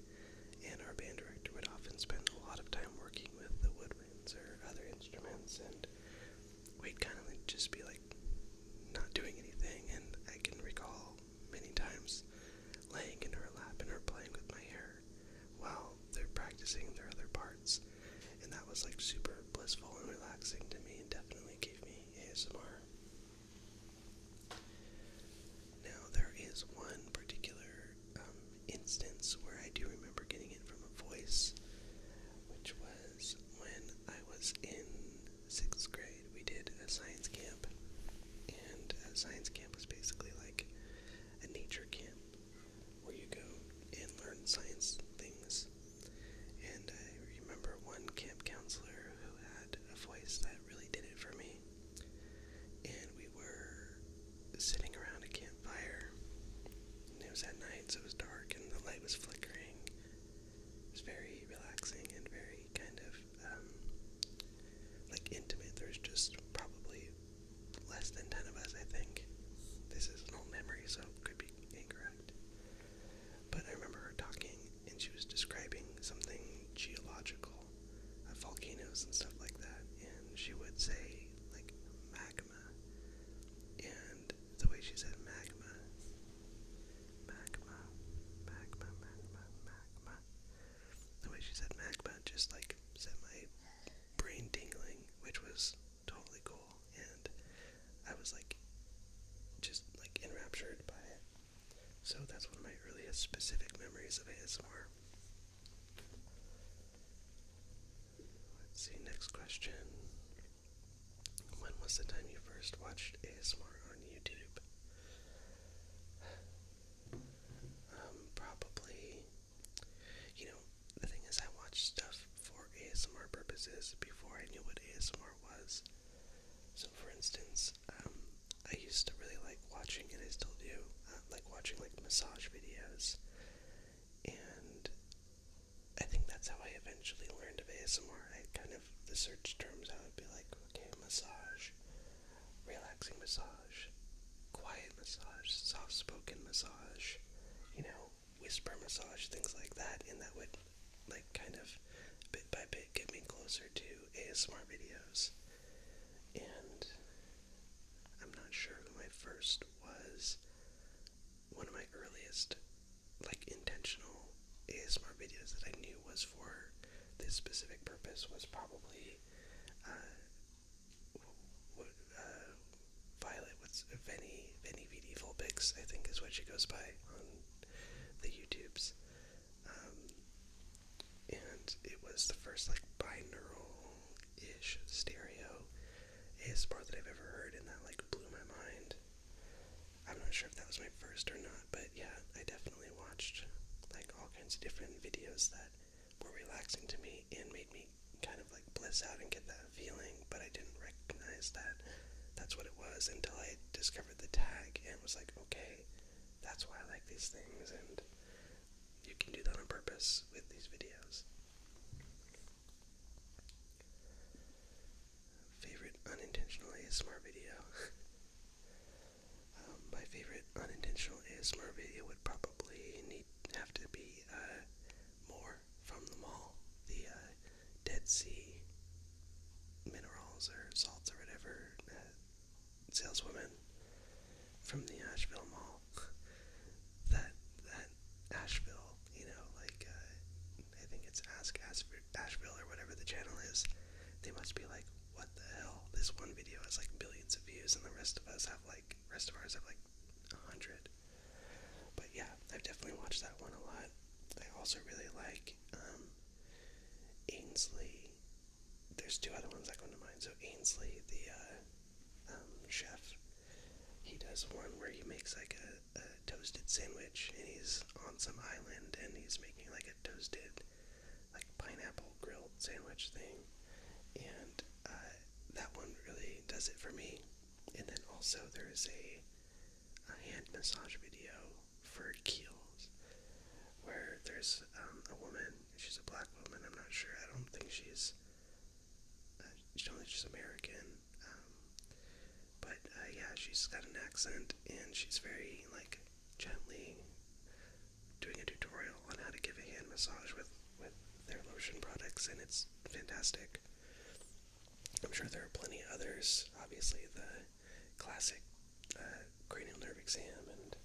and our band director would often spend a lot of time working with the woodwinds or other instruments, and we'd kind of just be like not doing anything. And I can recall many times laying in her lap and her playing with my hair while they're practicing their other parts and that was like super blissful and relaxing to me and definitely gave me ASMR. Now there is one particular um, instance where I do remember getting it from a voice, which was when I was in sixth grade. We did a science camp, and a uh, science camp was basically like a nature camp where you go and learn science things voice. And I remember one camp counselor who had a voice that really did it for me. And we were sitting around a campfire. And it was at night, so it was dark and the light was flickering. It was very relaxing and very kind of um, like intimate. There's just probably less than 10 of us, I think. This is an old memory, so it could be incorrect. But I remember her talking, and she was describing something geological, uh, volcanoes and stuff like that. And she would say, like, magma. And the way she said magma, magma, magma, magma, magma. The way she said magma just, like, set my brain tingling, which was totally cool, and I was like, just like enraptured by it. So that's one of my earliest specific memories of ASMR. Let's see, next question. When was the time you first watched ASMR on YouTube? Um, probably, you know, the thing is, I watch stuff for ASMR purposes before I knew what ASMR was. So, for instance, um, I used to really like watching, and I still do, uh, like watching like massage videos, and I think that's how I eventually learned of ASMR. I kind of the search terms I would be like, okay, massage, relaxing massage, quiet massage, soft spoken massage, you know, whisper massage, things like that, and that would like kind of bit by bit get me closer to ASMR videos. And I'm not sure who my first was. One of my earliest, like, intentional ASMR videos that I knew was for this specific purpose was probably uh, uh, Violet What's Venny Venny VD I think is what she goes by on the YouTubes. Um, and it was the first like binaural-ish stereo ASMR that I've ever heard, and that like blew my mind. I'm not sure if that was my first or not, but yeah, I definitely watched like all kinds of different videos that were relaxing to me and made me kind of like bliss out and get that that feeling, but I didn't recognize that that's what it was until I discovered the tag and was like, okay, that's why I like these things, and you can do that on purpose with these videos. Favorite unintentional ASMR video? um, my favorite unintentional ASMR video would probably need have to be uh, more from the mall. The uh, Dead Sea minerals or salts or whatever uh, saleswoman from the Asheville Mall. that that Asheville, you know, like uh, I think it's Ask Asheville or whatever the channel is. They must be like, what the hell? This one video has like billions of views, and the rest of us have like, rest of ours have like a hundred. But yeah, I've definitely watched that one a lot. I also really like um, Ainsley. There's two other ones that come to mind. So Ainsley, the uh, um, chef, he does one where he makes like a, a toasted sandwich, and he's on some island, and he's making like a toasted, like pineapple grilled sandwich thing, and uh, that one really does it for me. And then also there's a a hand massage video for Keels, where there's um, a woman. She's a black woman. I'm not sure. I don't think she's. Uh, she don't think she's American. Um, but uh, yeah, she's got an accent, and she's very like gently doing a tutorial on how to give a hand massage with with their lotion products, and it's fantastic. I'm sure there are plenty of others. Obviously, the classic uh, cranial nerve exam and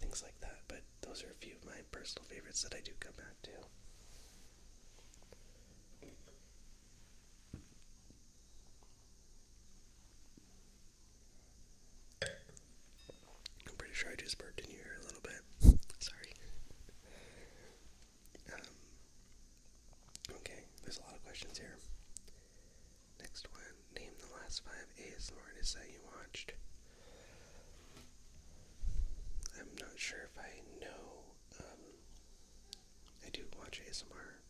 things like that, but those are a few of my personal favorites that I do come back to. I'm pretty sure I just burped in your a little bit. Sorry. Um, okay, there's a lot of questions here. Next one, name the last five ASMR artists that you watched. I'm not sure if I know. Um, I do watch ASMR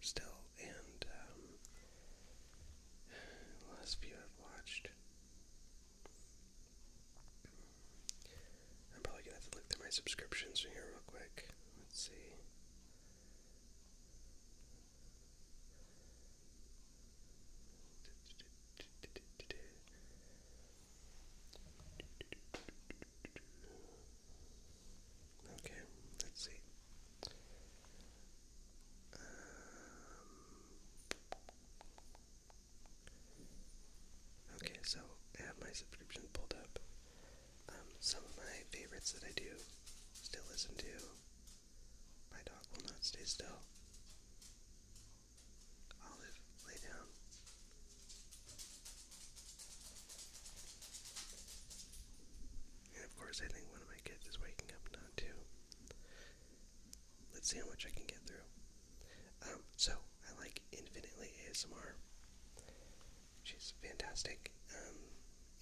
still, and um, last few I've watched. I'm probably gonna have to look through my subscriptions here real quick. Let's see. Okay, let's see. Um, okay, so I have my subscription pulled up. Um, some of my favorites that I do still listen to. My dog will not stay still. Olive, lay down. And of course, I think one of my kids is waking up now too. Let's see how much I can get through. Um, so I like infinitely ASMR she's fantastic, um,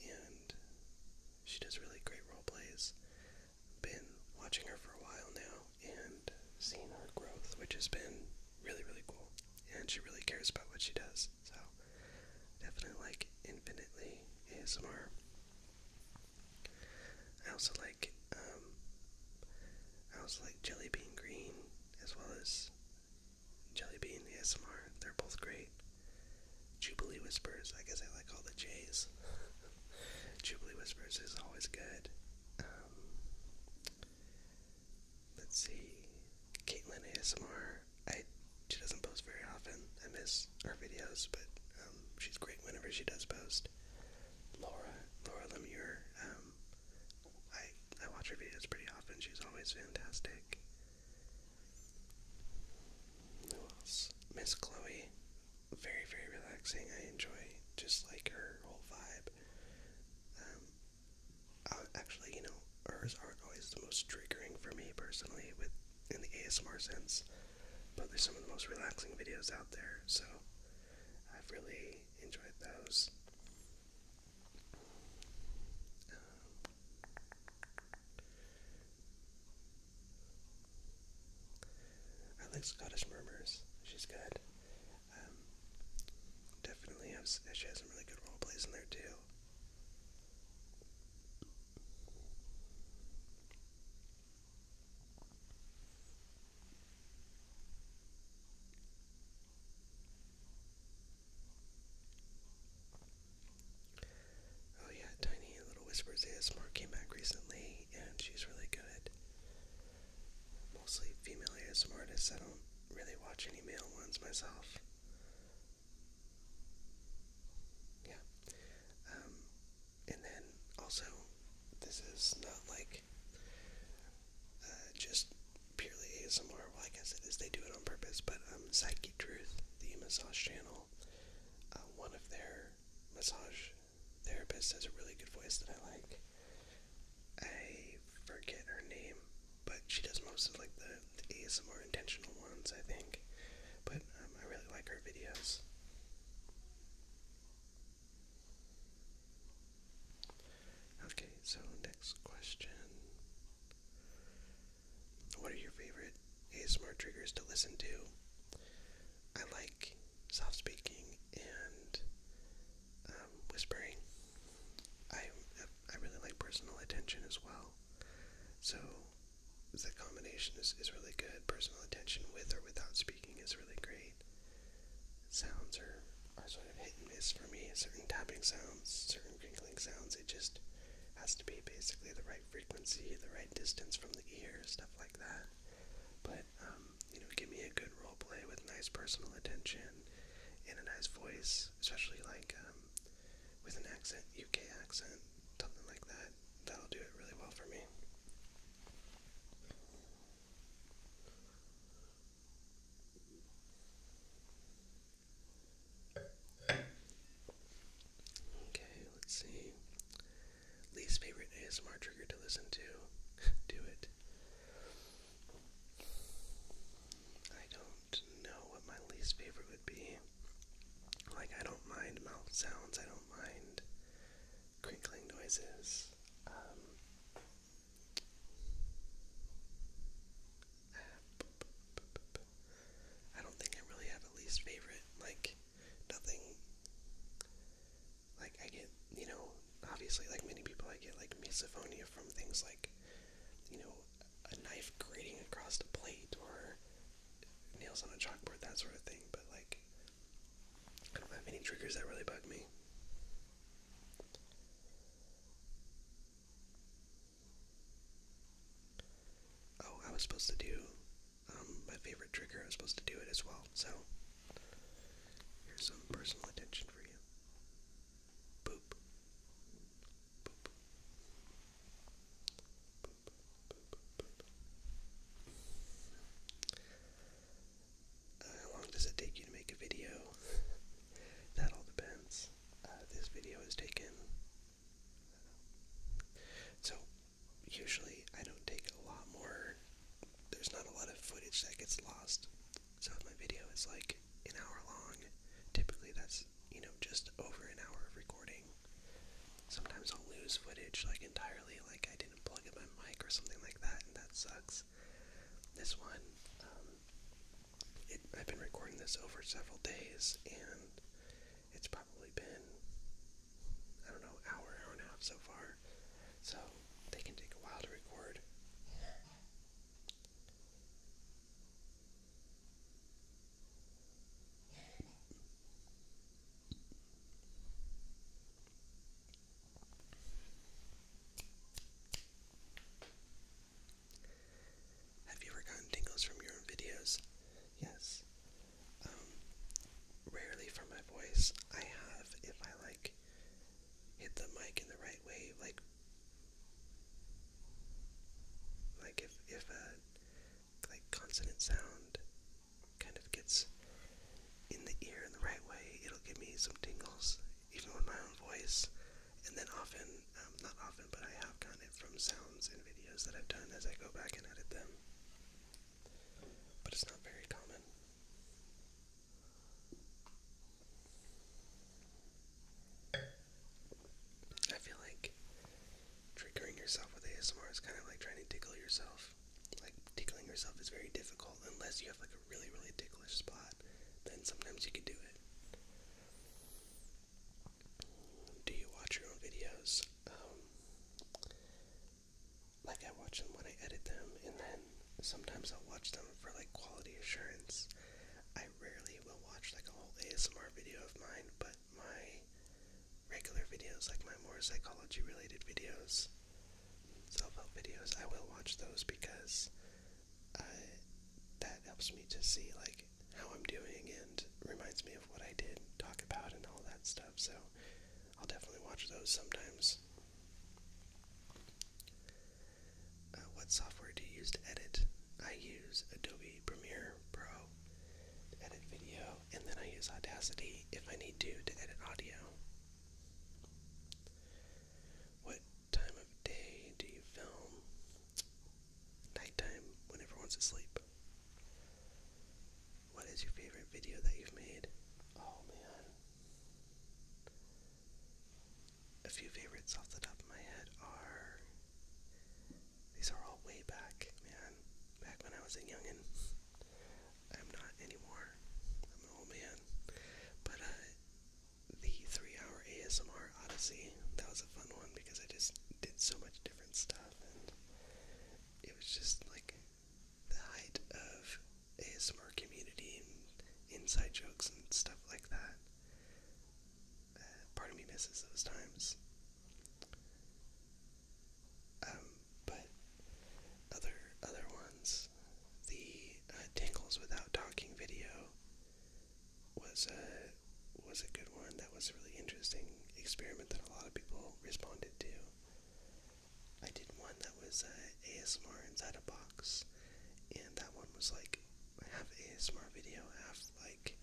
and she does really great role plays. Been watching her for a while now and seeing her growth, which has been really really cool. And she really cares about what she does, so definitely like infinitely ASMR. I also like um, I also like Jelly Bean Green as well as Jellybean ASMR. They're both great. Jubilee Whispers. I guess I like all the J's. Jubilee Whispers is always good. Um, let's see. Caitlin ASMR. she doesn't post very often. I miss her videos, but um, she's great whenever she does post. Laura, Laura Lemure. Um, I I watch her videos pretty often. She's always fantastic. Who else? Miss Chloe. Very, very relaxing. I enjoy just like her whole vibe. Um, actually, you know, hers aren't always the most triggering for me personally, with in the ASMR sense, but they're some of the most relaxing videos out there. So I've really enjoyed those. I like Scottish Murmurs. She's good. Um, definitely has. She has some really good role plays in there too. Oh yeah, Tiny Little Whispers ASMR came back recently, and she's really good. Mostly female ASMR artists. I don't really watch any male ones myself. Yeah. Um, and then also, this is not like uh, just purely ASMR. Well, I guess it is. They do it on purpose. But um, Psyche Truth, the massage channel, uh, one of their massage therapists has a really good voice that I like. I forget her name, but she does most of like the, ASMR intentional ones, I think. But um, I really like her videos. Okay, so next question. What are your favorite ASMR triggers to listen to? I like soft speaking and um, whispering. I I really like personal attention as well. So the combination is, is really good. Personal attention with or without speaking is really great. Sounds are are sort of hit and miss for me. Certain tapping sounds, certain crinkling sounds, it just has to be basically the right frequency, the right distance from the ear, stuff like that. But, um, you know, give me a good role play with nice personal attention and a nice voice, especially like um, with an accent, UK accent, something like that. That'll do it really well for me. Okay, let's see. Least favorite ASMR trigger to listen to. Do it. I don't know what my least favorite would be. Like, I don't mind mouth sounds, I don't mind crinkling noises. Um, I don't think I really have a least favorite. Like, nothing. Like, I get, you know, obviously, like many people, I get, like, misophonia from things like, you know, a knife grating across the plate or nails on a chalkboard, that sort of thing. But, like, I don't have any triggers that really bug me. Oh, I was supposed to do um, my favorite trigger. I was supposed to do it as well. So, here's some personal attention for you. Boop. Boop. Boop, boop, boop, how long does it take you to make a video? that all depends. Uh, this video is taken. So, usually I don't take a lot more, there's not a lot of footage that gets lost. So, if my video is like an hour long, typically that's, you know, just over an hour of recording. Sometimes I'll lose footage like entirely, like I didn't plug in my mic or something like that, and that sucks. This one, um, I've been recording this over several days, and it's probably been, I don't know, hour, hour and a half so far. So they can take a while to record. Have you ever gotten tingles from your own videos? Yes. Um, rarely from my voice. I have if I like hit the mic in the right way, like like if if a like consonant sound kind of gets in the ear in the right way, it'll give me some tingles, even with my own voice. And then often, um, not often, but I have gotten it from sounds and videos that I've done as I go back and edit them. But it's not very common. I feel like triggering yourself with ASMR is kind of like trying to tickle yourself. Like, tickling yourself is very difficult unless you have like a really, really ticklish spot. Then sometimes you can do it. Do you watch your own videos? Um, like I watch them when I edit them, and then sometimes I'll watch them for like quality assurance. I rarely will watch like a whole ASMR video of mine, but my regular videos, like my more psychology related videos, self help videos, I will watch those because uh, that helps me to see like how I'm doing and reminds me of what I did, talk about, and all that stuff. So I'll definitely watch those sometimes. Uh, what software do you use to edit? I use Adobe Premiere Pro to edit video, and then I use Audacity if I need to to edit audio. What time of day do you film? Nighttime, when everyone's asleep. What is your favorite video that you've made? Oh man. A few favorites off the top of my head are. These are all way back, man. Back when I was a youngin'. I'm not anymore. I'm an old man. But uh, the three-hour ASMR Odyssey. That was a fun one because I just did so much different stuff, and it was just like the height of ASMR community inside jokes and stuff like that. Uh, part of me misses those times. Um, but other other ones, the uh, tingles without talking video was a was a good one. That was a really interesting experiment that a lot of people responded to. I did one that was uh, ASMR inside a box, and that one was like half ASMR video, half like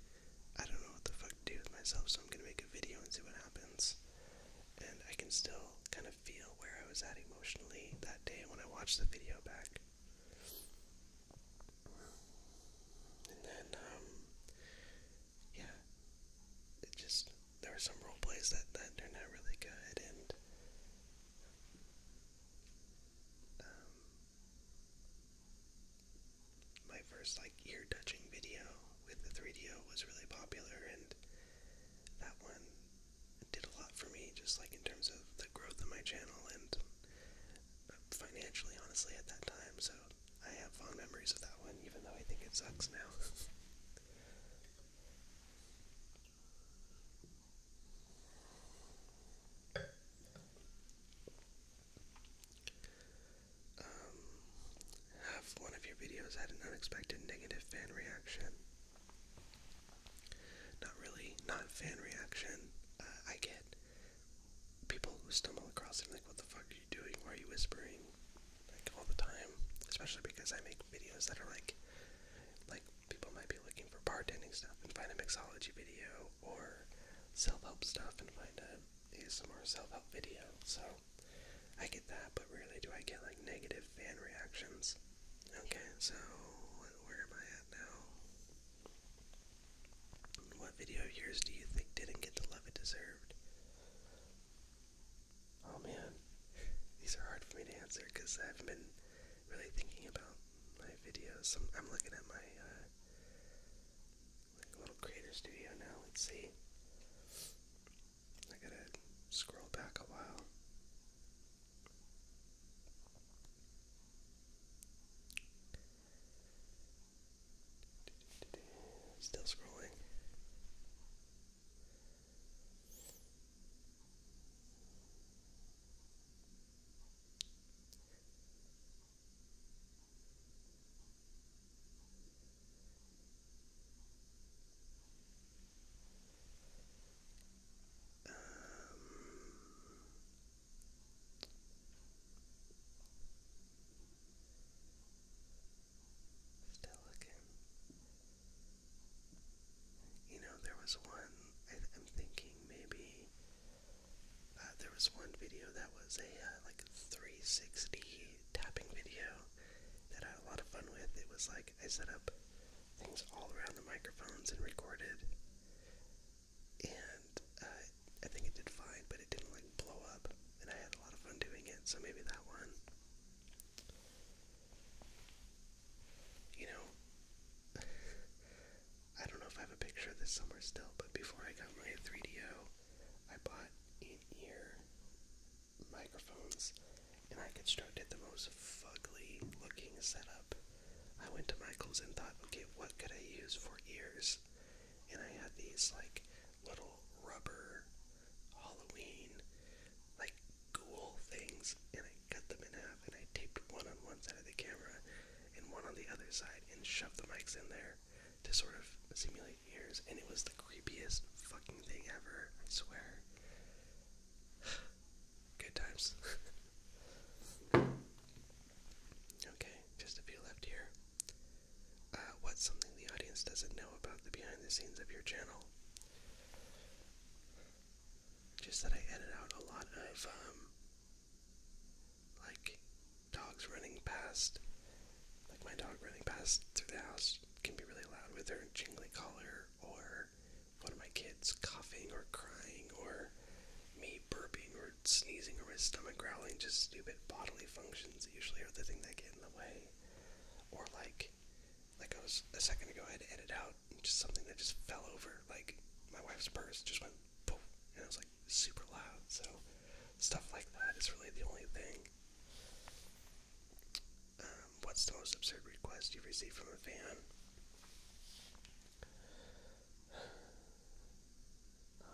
I don't know what the fuck to do with myself, so I'm gonna make a video and see what happens. And I can still kind of feel where I was at emotionally that day when I watched the video back. And then, um, yeah, it just, there were some role plays that, that turned out really good, and, um, my first, like, ear-touching video with the 3DO was really popular, and that one did a lot for me, just, like, in terms of the growth of my channel, and financially, honestly, at that time. So I have fond memories of that one, even though I think it sucks now. Um, have one of your videos had an unexpected negative fan reaction? Not really, not fan reaction. Uh, I get people who stumble across it and like, what the fuck are you doing? Why are you whispering? Like all the time. Especially because I make videos that are like like people might be looking for bartending stuff and find a mixology video or self-help stuff and find a ASMR self-help video. So I get that, but really, do I get like negative fan reactions. Okay, so where am I at now? What video of yours do you think didn't get the love it deserved? Oh man, these are hard for me to answer because I haven't been really thinking about my videos. I'm, looking at my uh, little creator studio now. let see. I gotta scroll back a while. Still scrolling. Um, Still looking. You know, there was one, I, am thinking maybe uh, there was one video that was a uh, like 360 tapping video that I had a lot of fun with. It was like I set up things all around the microphones and recorded and I think it did fine, but it didn't like blow up, and I had a lot of fun doing it, so maybe that one. You know, I don't know if I have a picture of this summer still, but before I got my 3DO, bought in-ear microphones, and I constructed the most ugly looking setup I went to Michael's and thought, okay, what could I use for ears? And I had these like little rubber Halloween like ghoul things, and I cut them in half and I taped one on one side of the camera and one on the other side and shoved the mics in there to sort of simulate ears, and it was the creepiest fucking thing ever, I swear. Good times. Okay, just a few left here. Uh, what's something the audience doesn't know about the behind the scenes of your channel? Just that I edit out a lot of, um, like, dogs running past. Like, my dog running past through the house can be really loud with her jingly collar, or one of my kids coughing or crying, or me burping or or sneezing or his stomach growling, just stupid bodily functions that usually are the thing that get in the way. Or like, like I was a second ago, I had to edit out just something that just fell over, like my wife's purse just went poof, and it was like super loud. So stuff like that is really the only thing. Um, what's the most absurd request you've received from a fan? Um,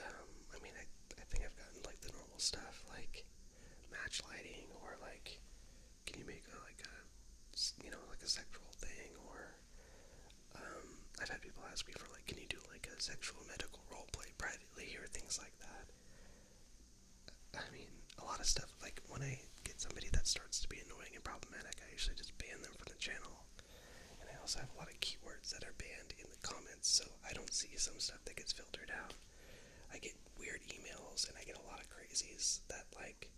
um, I mean, I, I think I've gotten like the normal stuff, like match lighting, or like, can you make a, like a, you know, like a sexual thing, or um, I've had people ask me for like, can you do like a sexual medical role play privately, or things like that. I mean, a lot of stuff. Like when I get somebody that starts to be annoying and problematic, I usually just ban them from the channel. And I also have a lot of keywords that are banned in the comments, so I don't see some stuff that gets filtered out. I get weird emails, and I get a lot of crazies that like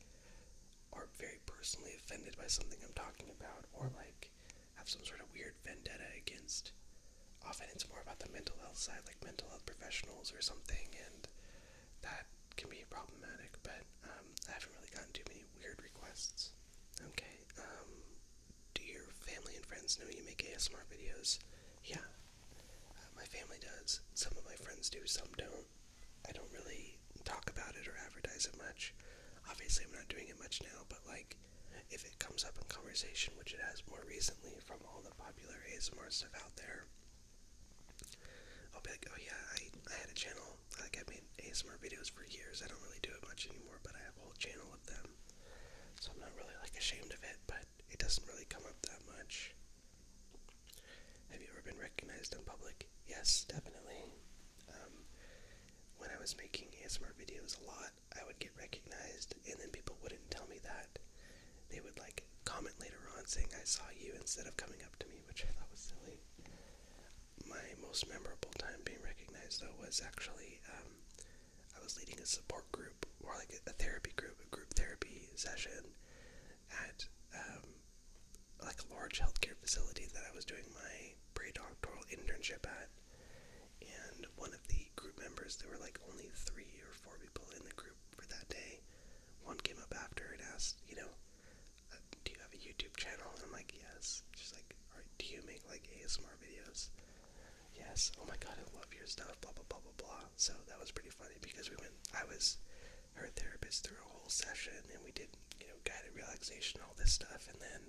are very personally offended by something I'm talking about, or like have some sort of weird vendetta against. Often it's more about the mental health side, like mental health professionals or something, and that can be problematic, but um, I haven't really gotten too many weird requests. Okay, um, do your family and friends know you make ASMR videos? Yeah, uh, my family does. Some of my friends do, some don't. I don't really talk about it or advertise it much. Obviously, I'm not doing it much now, but like, if it comes up in conversation, which it has more recently from all the popular ASMR stuff out there, I'll be like, oh yeah, I, I had a channel. Like I made ASMR videos for years. I don't really do it much anymore, but I have a whole channel of them. So I'm not really like ashamed of it, but it doesn't really come up that much. Have you ever been recognized in public? Yes, definitely. Um, when I was making ASMR videos a lot, I would get recognized, and then people wouldn't tell me that they would like comment later on saying I saw you instead of coming up to me, which I thought was silly. My most memorable time being recognized though was actually um, I was leading a support group or like a therapy group, a group therapy session at um, like a large healthcare facility that I was doing my pre-doctoral internship at. And one of the group members, there were like only three or four people in the group for that day, one came up after and asked, you know, uh, do you have a YouTube channel? And I'm like, yes. She's like, all right, do you make like ASMR videos? Yes. Oh my god, I love your stuff. Blah blah blah blah blah. So that was pretty funny because we went. I was her therapist through a whole session, and we did, you know, guided relaxation, all this stuff, and then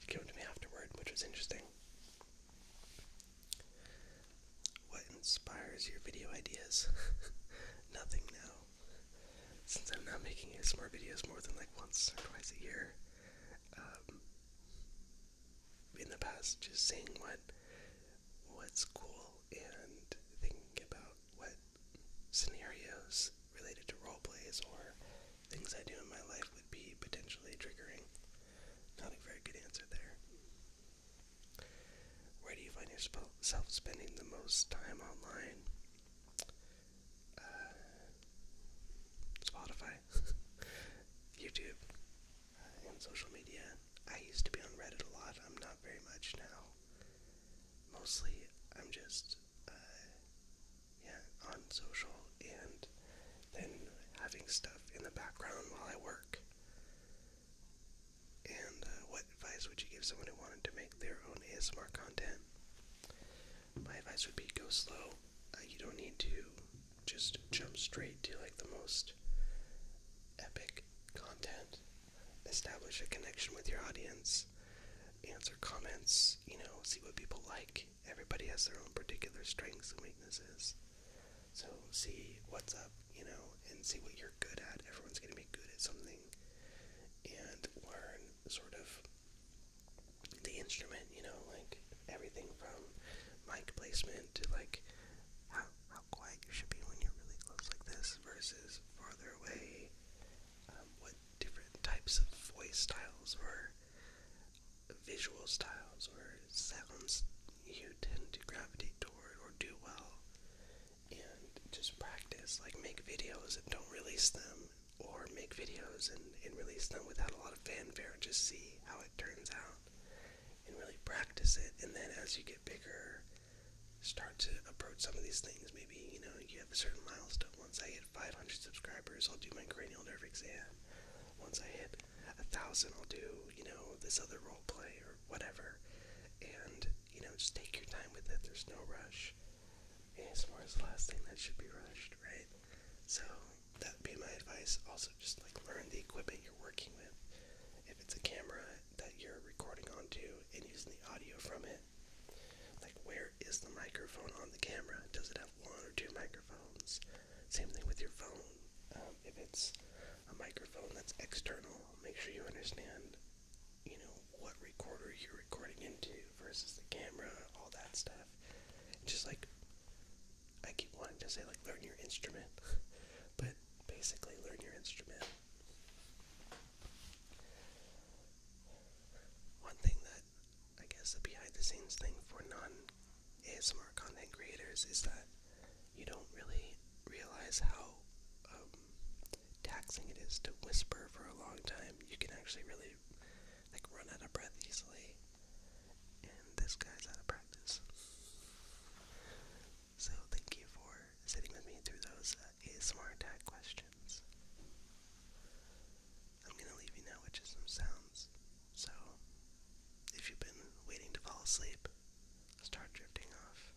she came to me afterward, which was interesting. What inspires your video ideas? Nothing now. Since I'm not making ASMR videos more than like once or twice a year, um, in the past, just seeing what what's cool and thinking about what scenarios related to role plays or things I do in my life would be potentially triggering. Not a very good answer there. Where do you find yourself spending the most time online? Uh, Spotify, YouTube, uh, and social media. I used to be on Reddit a lot. I'm not very much now. Mostly, I'm just uh, yeah on social and then having stuff in the background while I work. And uh, what advice would you give someone who wanted to make their own ASMR content? My advice would be go slow. Uh, you don't need to just jump straight to like the most epic content. Establish a connection with your audience. Answer comments, you know, see what people like. Everybody has their own particular strengths and weaknesses. So see what's up you know, and see what you're good at. Everyone's going to be good at something and learn sort of the instrument, you know, like everything from mic placement to like how, how quiet you should be when you're really close like this versus farther away, um, what different types of voice styles or visual styles or sounds you tend to gravitate toward or do well and just practice. Like make videos and don't release them, or make videos and, and release them without a lot of fanfare and just see how it turns out and really practice it. And then as you get bigger, start to approach some of these things. Maybe, you know, you have a certain milestone. Once I hit 500 subscribers, I'll do my cranial nerve exam. Once I hit a thousand, I'll do, you know, this other role play or whatever. And you know, just take your time with it. There's no rush. ASMR is the last thing that should be rushed, right? So that'd be my advice. Also, just like learn the equipment you're working with. If it's a camera that you're recording onto and using the audio from it, like where is the microphone on the camera? Does it have one or two microphones? Same thing with your phone. Um, if it's a microphone that's external, make sure you understand you know, what recorder you're recording into versus the camera, all that stuff. Just like, I keep wanting to say, like, learn your instrument, but basically, learn your instrument. One thing that I guess the behind the scenes thing for non ASMR content creators is that you don't really realize how um, taxing it is to whisper for a long time. You can actually really like run out of breath easily, and this guy's out of practice. So thank you for sitting with me through those uh, ASMR tag questions. I'm gonna leave you now with just some sounds. So if you've been waiting to fall asleep, start drifting off.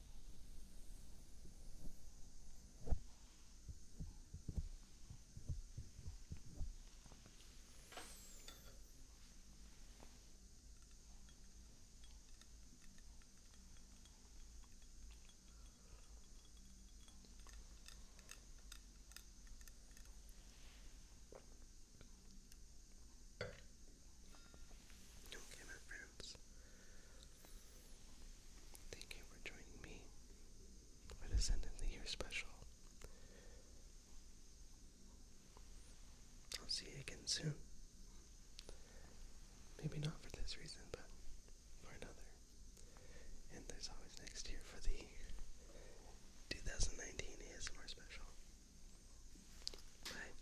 Okay, my friends, Thank you for joining me for this end of the year special. I'll see you again soon. Maybe not for this reason, but for another. And there's always next year for the 2019 ASMR special. Bye.